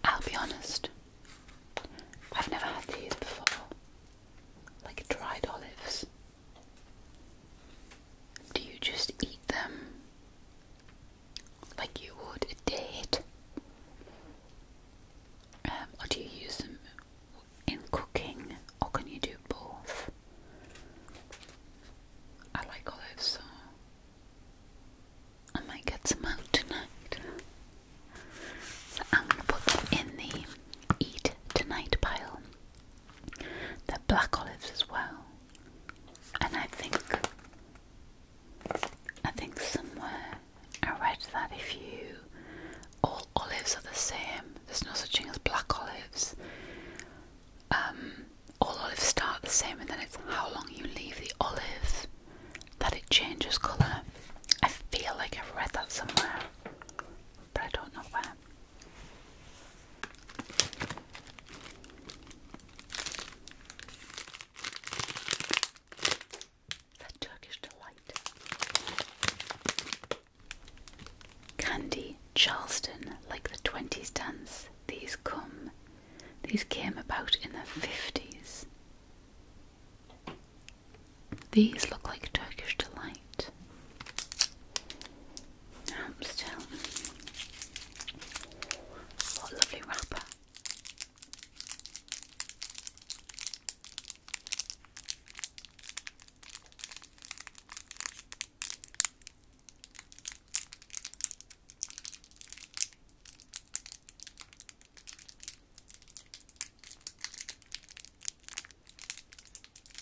I'll be honest, I've never had these before. Like dried olives. Do you just eat them like you would a date? Um, or do you use them in cooking, or can you do both? I like olives, so I might get some out tonight. So I'm gonna put them in the eat tonight pile. They're black olives as well. And I think I think somewhere I read that if you all olives are the same, there's no such thing as black olives. Um, all olives start the same, and then it's how long you leave the olive that it changes colour. I feel like I've read that somewhere, but I don't know where. The Turkish Delight. Candy, Charleston, like the 20s dance, these come. These came about in the 50s. These look like Turkish Delight still. What a lovely wrapper.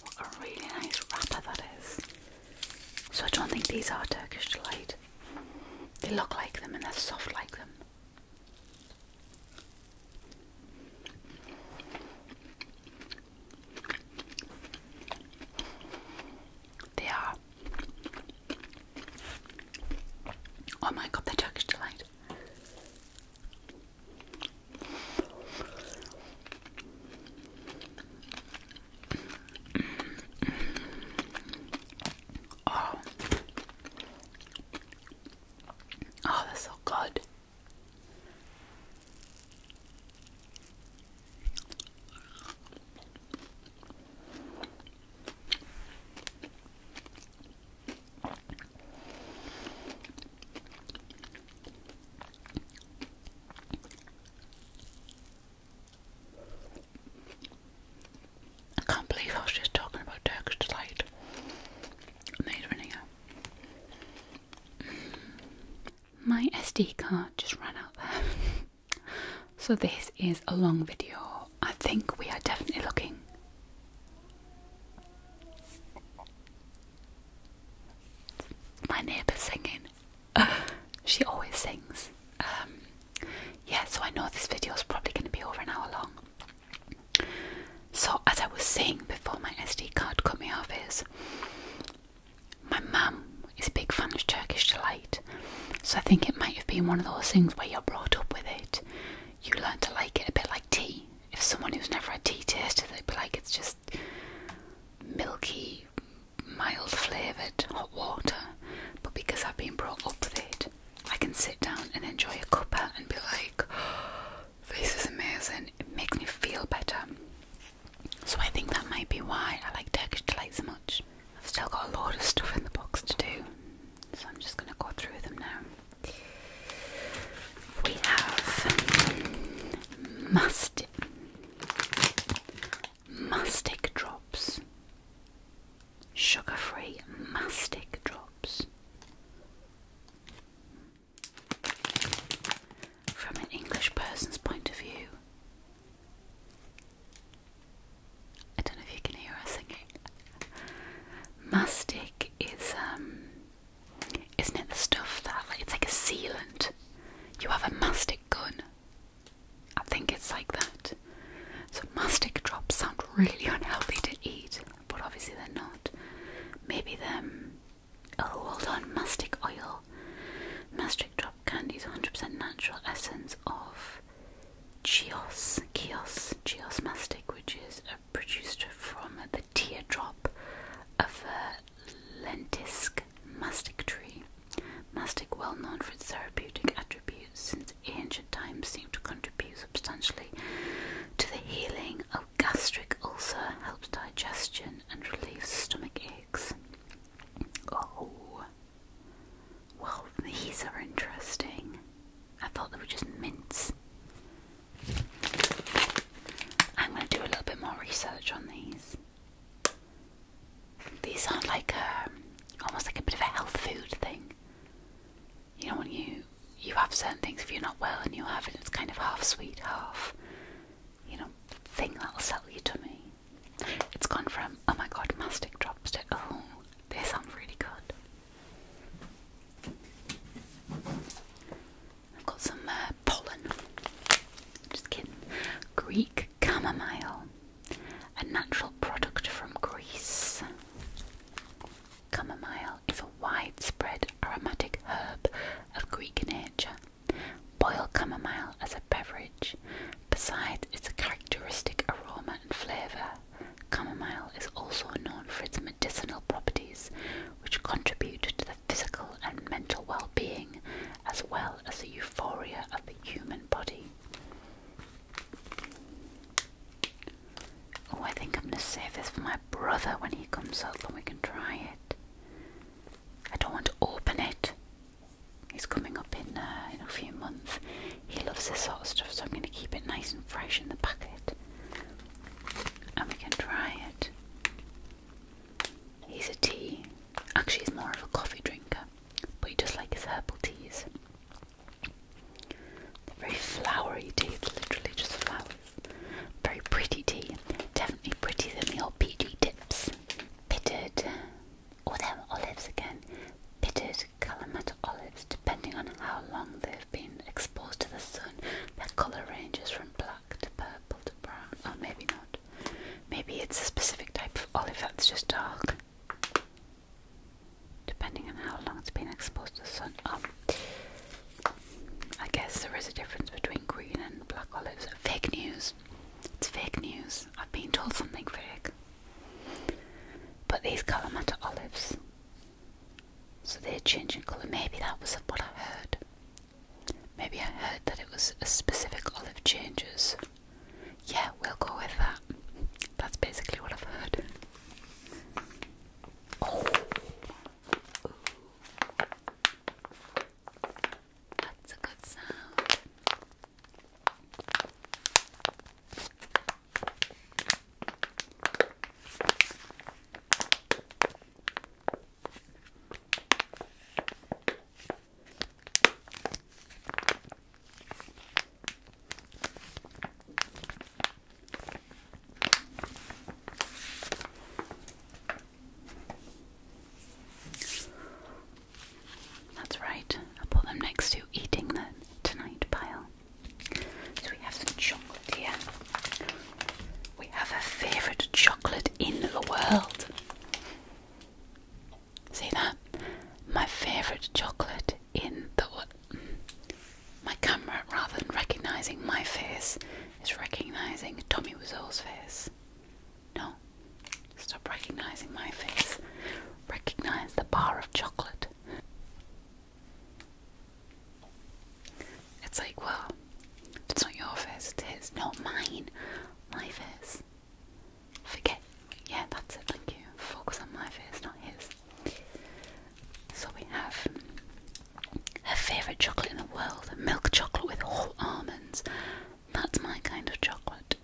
What a really nice wrapper that is. So I don't think these are Turkish Delight. They look like them and they're soft like them. They are. Oh my god, they're Turkish Delight. Oh, oh, that's so good. I can't believe I was just talking about Turkish delight. And he's running My SD card just ran out there. <laughs> so this is a long video. I think we are definitely looking. My neighbour's singing. <laughs> she always sings. Um, yeah, so I know this video is probably going to be over an hour long. So, as I was saying before my SD card cut me off, is my mum is a big fan of Turkish Delight. So, I think it might have been one of those things where you're brought up with it. You learn to like it a bit like tea. If someone who's never had tea tasted they'd be like, it's just milky, mild flavoured hot water, but because I've been brought up with it, I can sit down and enjoy a cuppa and be like, oh, this is amazing, it makes me feel better. So I think that might be why I like Turkish Delight so much. I've still got a lot of stuff in the box to do, so I'm just going to go through them now. We have mustard mastic drops, sugar free mastic drops from an English person's point of view. I don't know if you can hear us singing. Mastic is, um, isn't it the stuff that, it's like a sealant? You have a mastic gun I think it's like that. So mastic drops sound really <laughs> unhealthy to eat, but obviously they're not. Maybe them. Oh, hold on, mastic oil. Mastic drop candy is 100% natural essence of Chios, Chios, Chios mastic, which is produced from the teardrop of a uh, lentisk mastic tree. Mastic, well known for its therapeutic attributes since ancient times, seemed to contribute substantially to the healing of gastric ulcer, helps digestion, and relieves stomach aches. Oh, well, these are interesting. I thought they were just mints. I'm going to do a little bit more research on these. These sound like almost like a bit of a health food thing. You know when you you have certain things if you're not well and you have it, it's kind of half sweet, half you know thing that'll settle your tummy. It's gone from oh my god, mastic drops to oh they sound really good. I've got some uh, pollen. Just kidding. Greek Camomile, a natural product from Greece. Chamomile is a widespread aromatic herb of Greek nature. Boil camomile as a beverage. Besides its characteristic aroma and flavour, Camomile is also known for its medicinal properties, which contribute to the physical and mental well being as well as the euphoria of the human body. Oh, I think I'm going to save this for my brother when he comes up and we can try it. I don't want to open it. He's coming up in, uh, in a few months. He loves this sort of stuff, so I'm going to keep it nice and fresh in the bucket, And we can try it. He's a tea. Actually, he's more of a coffee drinker but you just like his herbal teas. very flowery tea, it's literally just flowers. Very pretty tea, definitely prettier than the old PG dips. Pitted, or them olives again, pitted Kalamata olives, depending on how long they've been exposed to the sun, their colour ranges from black to purple to brown, or maybe not. Maybe it's a specific type of olive that's just dark. Depending on how long it's been exposed to the sun. Um, I guess there is a difference between green and black olives. Fake news. It's fake news. I've been told something fake. But these Kalamata olives, so they're changing colour. Maybe that was what I heard. Maybe I heard that it was a specific olive changes yeah, we'll go with that. That's basically what I've heard. That's a good sound. That's right, I'll put them next to eating the tonight pile. So we have some chocolate here. We have our favourite chocolate in the world. See that? My favourite chocolate in the. My camera, rather than recognising my face, is recognising Tommy Wiseau's face. No, stop recognising my face. Recognise the bar of chocolate. It's like, well, it's not your face, it's not mine. My face. Forget. Yeah, that's it. Thank you. Focus on my face, not his. So we have a favourite chocolate in the world milk chocolate with whole almonds. That's my kind of chocolate.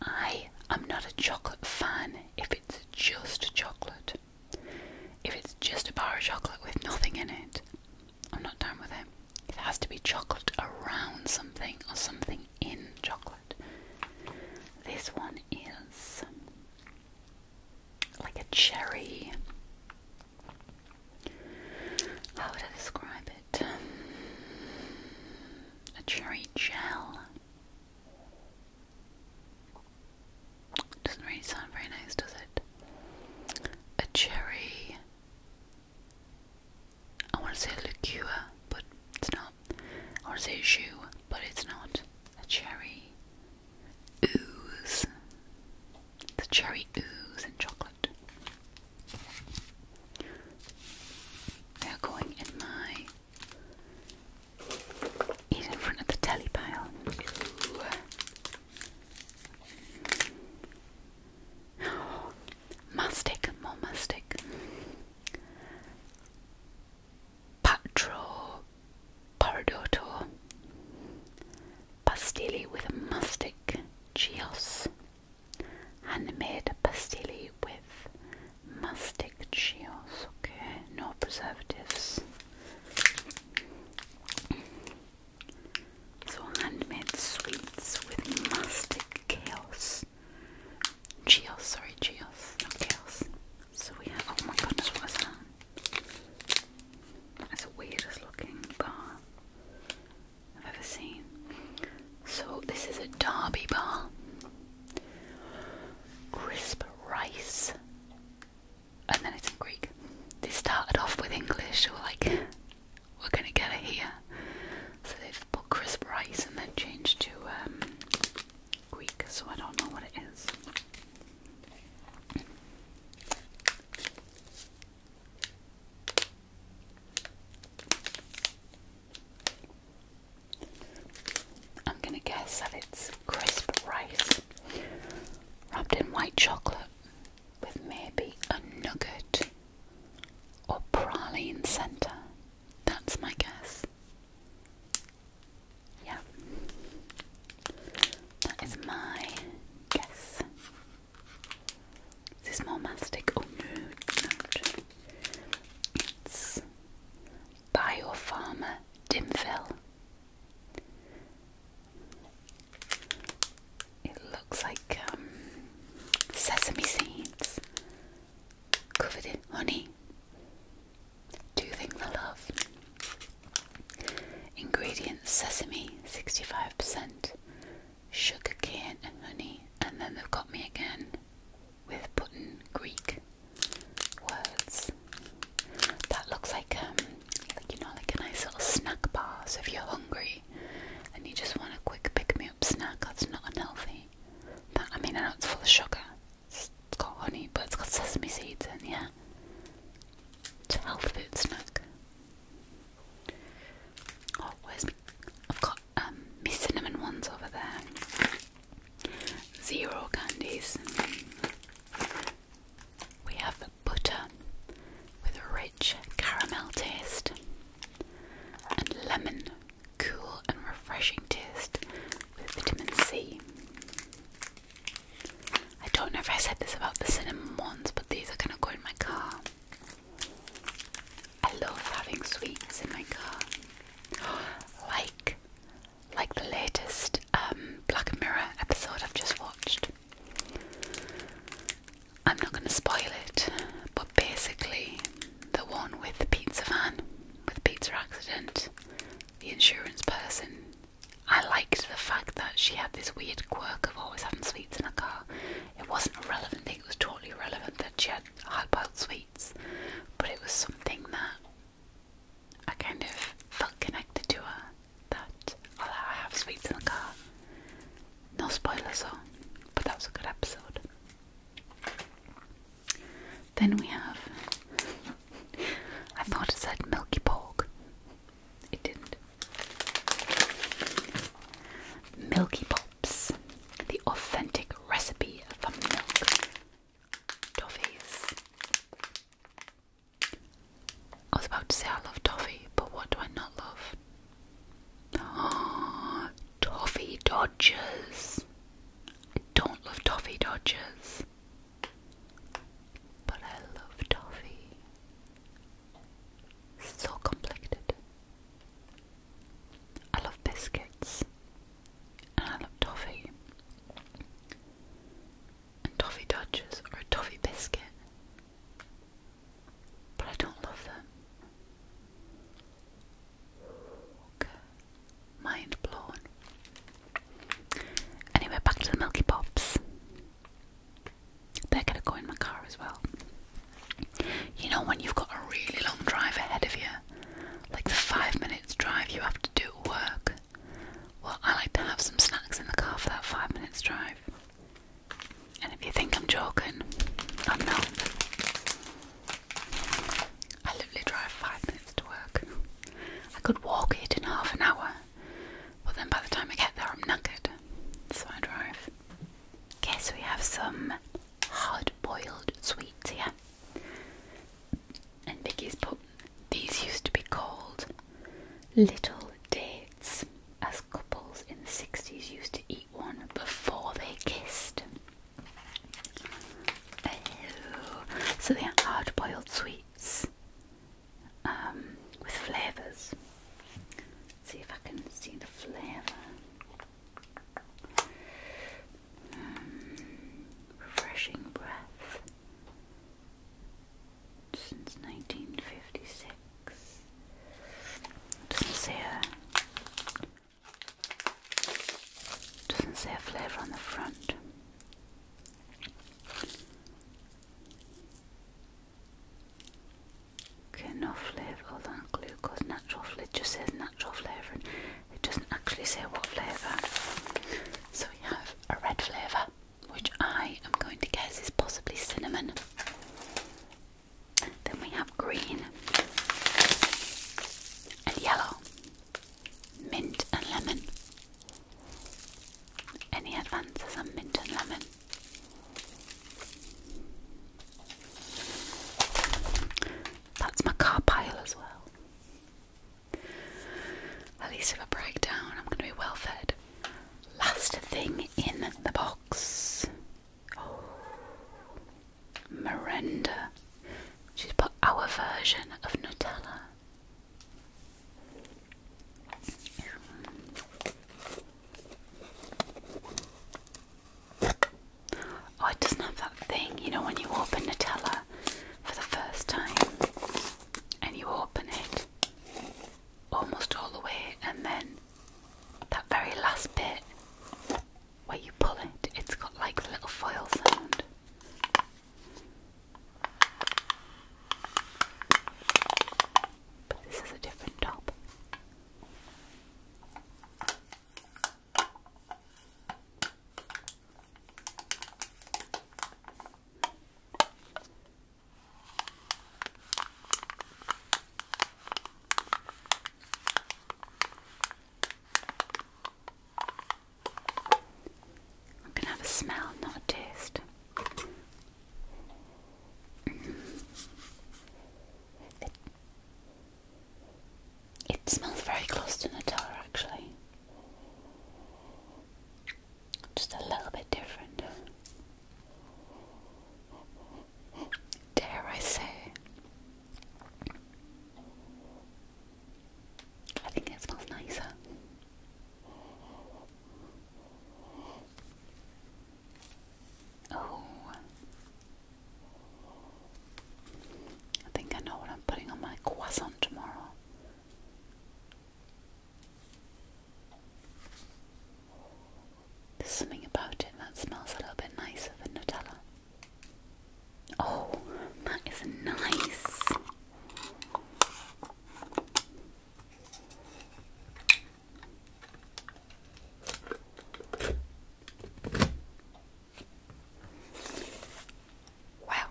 I am not a chocolate fan if it's just chocolate. If it's just a bar of chocolate with nothing in it, I'm not done with it. It has to be chocolate around something or something in chocolate. This one is like a cherry. How would I describe it? A cherry gel. Doesn't really sound very nice, does it? A cherry I want to say liqueur, but it's not. I want to say jus, but it's not. A cherry ooze. The cherry ooze and chocolate. They are going in my. Eat in front of the telly <gasps> Mastic, more mastic. Patro Parodotto. Pastili with mastic chios. Handmade pastili with mastic chios. Okay, no preservatives. So handmade sweets with mastic chios. Cheos, sorry, Cheos, not Chaos. So we have, oh my goodness, what is that? That's the weirdest looking bar I've ever seen. So this is a Derby bar. Crisp rice. And then it's in Greek. They started off with English, so like, we're gonna get it here. So they've put crisp rice and then changed to um, Greek, so I don't know what it is. I'm gonna guess that it's crisp rice wrapped in white chocolate with maybe a nougat or praline centre. That's my guess. Yeah. That is my guess. Is this more mastic? Oh no, it's not. It's It looks like um, sesame seeds covered in honey. Do you think the love? Ingredients sesame 65%, sugar cane and honey, and then they've got me again with button Greek words. That looks like um like you know like a nice little snack bar. So if you're hungry and you just want a quick pick me up snack that's not unhealthy, I mean, I know it's full of sugar. it's got honey, but it's got sesame seeds in, yeah. twelve a food snack. Oh, where's me? I've got um, cinnamon ones over there. Zero candies. We have butter with a rich caramel taste and lemon cool and refreshing taste with vitamin C. I don't know if I said this about the cinnamon ones, but these are gonna go in my car. I love having sweets in my car. <gasps> Like like the latest um, Black Mirror episode I've just watched. I'm not going to spoil it, but basically, the one with the pizza van, with the pizza accident, the insurance person. I liked the fact that she had this weird quirk of always having sweets in her car. It wasn't a relevant thing, it was totally irrelevant that she had high piled sweets, but it was something that I kind of felt connected to her that oh, I have sweets in the car. No spoilers though, but that was a good episode. Then we have. I thought it said milky pork. It didn't. Milky Pops, the authentic recipe for milk toffees. I was about to say I love toffee, but what do I not love? Oh, <gasps> toffee Dodgers. I don't love toffee dodgers, but I love toffee. So conflicted. I love biscuits, and I love toffee. And toffee dodgers or a toffee biscuit, but I don't love them. Mind blown. Anyway, back to the Milky Pops. They're gonna go in my car as well. You know when you've got a really long drive ahead of you, like the five minutes drive you have to do at work. Well, I like to have some snacks in the car for that five minutes drive. And if you think I'm joking, I'm not. I literally drive five minutes to work. I could walk it in half an hour, but then by the time I get there, I'm knackered. So I drive. Okay, we have some hard boiled sweets here. And Biggie's put these used to be called little dates, as couples in the 60s used to eat one before they kissed so they are hard-boiled sweets um, with flavours. See if I can see the flavour. Um, refreshing breath since 1956. Doesn't say a doesn't say a flavour on the front. Okay, no flavour other than glucose, natural flavour. just says natural flavouring. It doesn't actually say what flavour. So we have a red flavour, which I am going to guess is possibly cinnamon. Then we have green and yellow mint and lemon. Any advances on mint and lemon? That's my car pile as well. At least if I break down, I'm going to be well fed. Last thing in the box. Oh. Miranda. She's put our version of Nutella. Oh, it doesn't have that thing, you know, when you open Nutella for the first time and you open it almost all the way, and then that very last bit where you pull it, it's got like the little foil sound. But this is a different top. I'm gonna have a smell, not a taste. it, smells very close to Nutella, actually. Just a little bit different. Dare I say, I think it smells nicer. Oh, I think I know what I'm putting on my croissant tomorrow. There's something about it that smells a little bit nicer than Nutella. Oh, that is nice. Wow.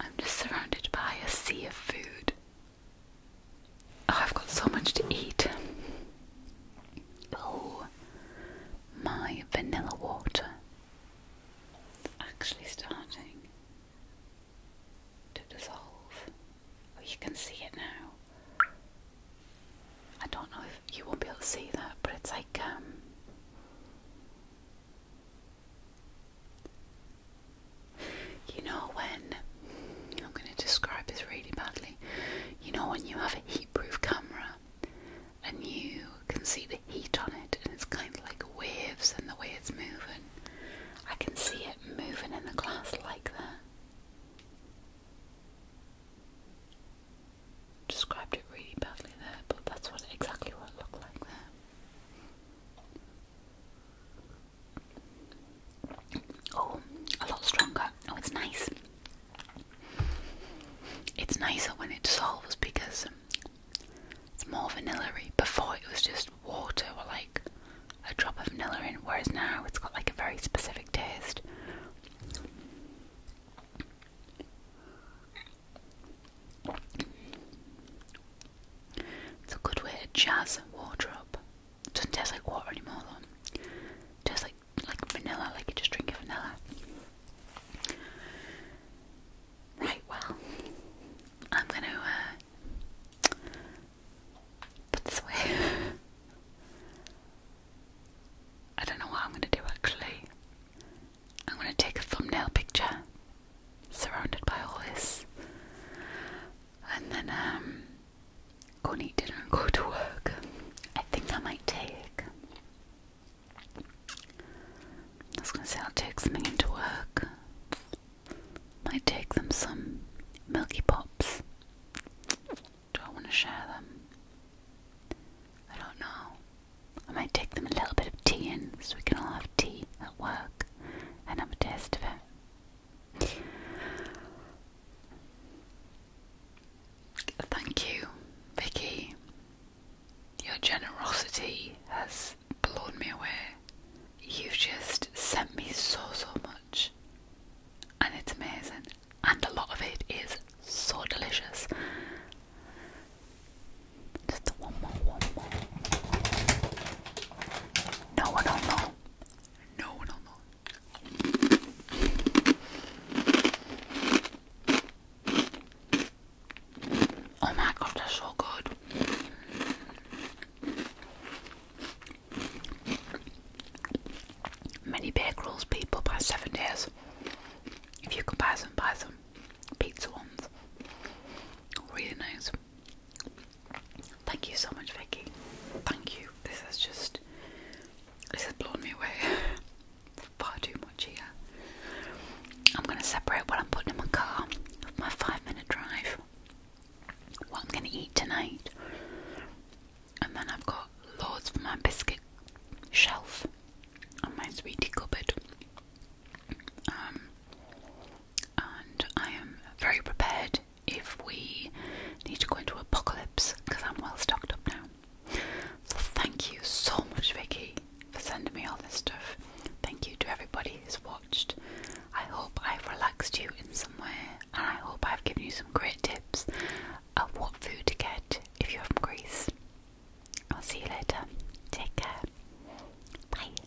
I'm just surrounded by a sea of food. Oh, I've got so much to eat. Oh, my vanilla water. It's actually starting to dissolve. Oh, you can see it now. I don't know if you won't be able to see that, but it's like um you know when I'm going to describe this really badly you know when you have a heatproof camera and you can see the heat on it and it's kind of like waves and the way it's moving. I can see it moving in the glass like that. Described it really badly there, but that's what exactly what it looked like there. Oh, a lot stronger. Oh, it's nice. It's nicer when it dissolves because um, it's more vanilla-y. Before it was just water or like a drop of vanilla in, whereas now it's got like a very specific taste. It's a good way to jazz water it doesn't taste like water anymore though. It tastes like like vanilla, like you just drink vanilla. Right, well, I'm gonna uh, put this away. <laughs> I don't know what I'm gonna do actually. I'm gonna take a thumbnail picture surrounded by all this, and then um, Go eat dinner and go to work. I think I might take. I was gonna say I'll take something into work. Might take them some Milky Pops. Do I want to share them? I don't know. I might take them a little bit of tea in so we can all have tea at work and have a taste of it. Thank you, Vicky. Your generosity has blown me away. You've just sent me so, so much, and it's amazing. And a lot of it is so delicious. Just one more, one more. No one will No one will Oh my god, that's so good. Many bake rolls people by seven days. If you can buy them, buy them. Pizza ones. Really nice. Thank you so much, Vicky. Thank you. This has just this has blown me away. <laughs> Far too much here. I'm going to separate what I'm putting in my car for my five minute drive, what I'm going to eat tonight, and then I've got loads for my biscuit shelf on my sweetie cupboard. Um, and I am very prepared if we need to go into apocalypse because I'm well stocked up now. So thank you so much, Vicky, for sending me all this stuff. Thank you to everybody who's watched. I hope I've relaxed you in some way, and I hope I've given you some great tips of what food to get if you're from Greece. I'll see you later. Take care. Bye.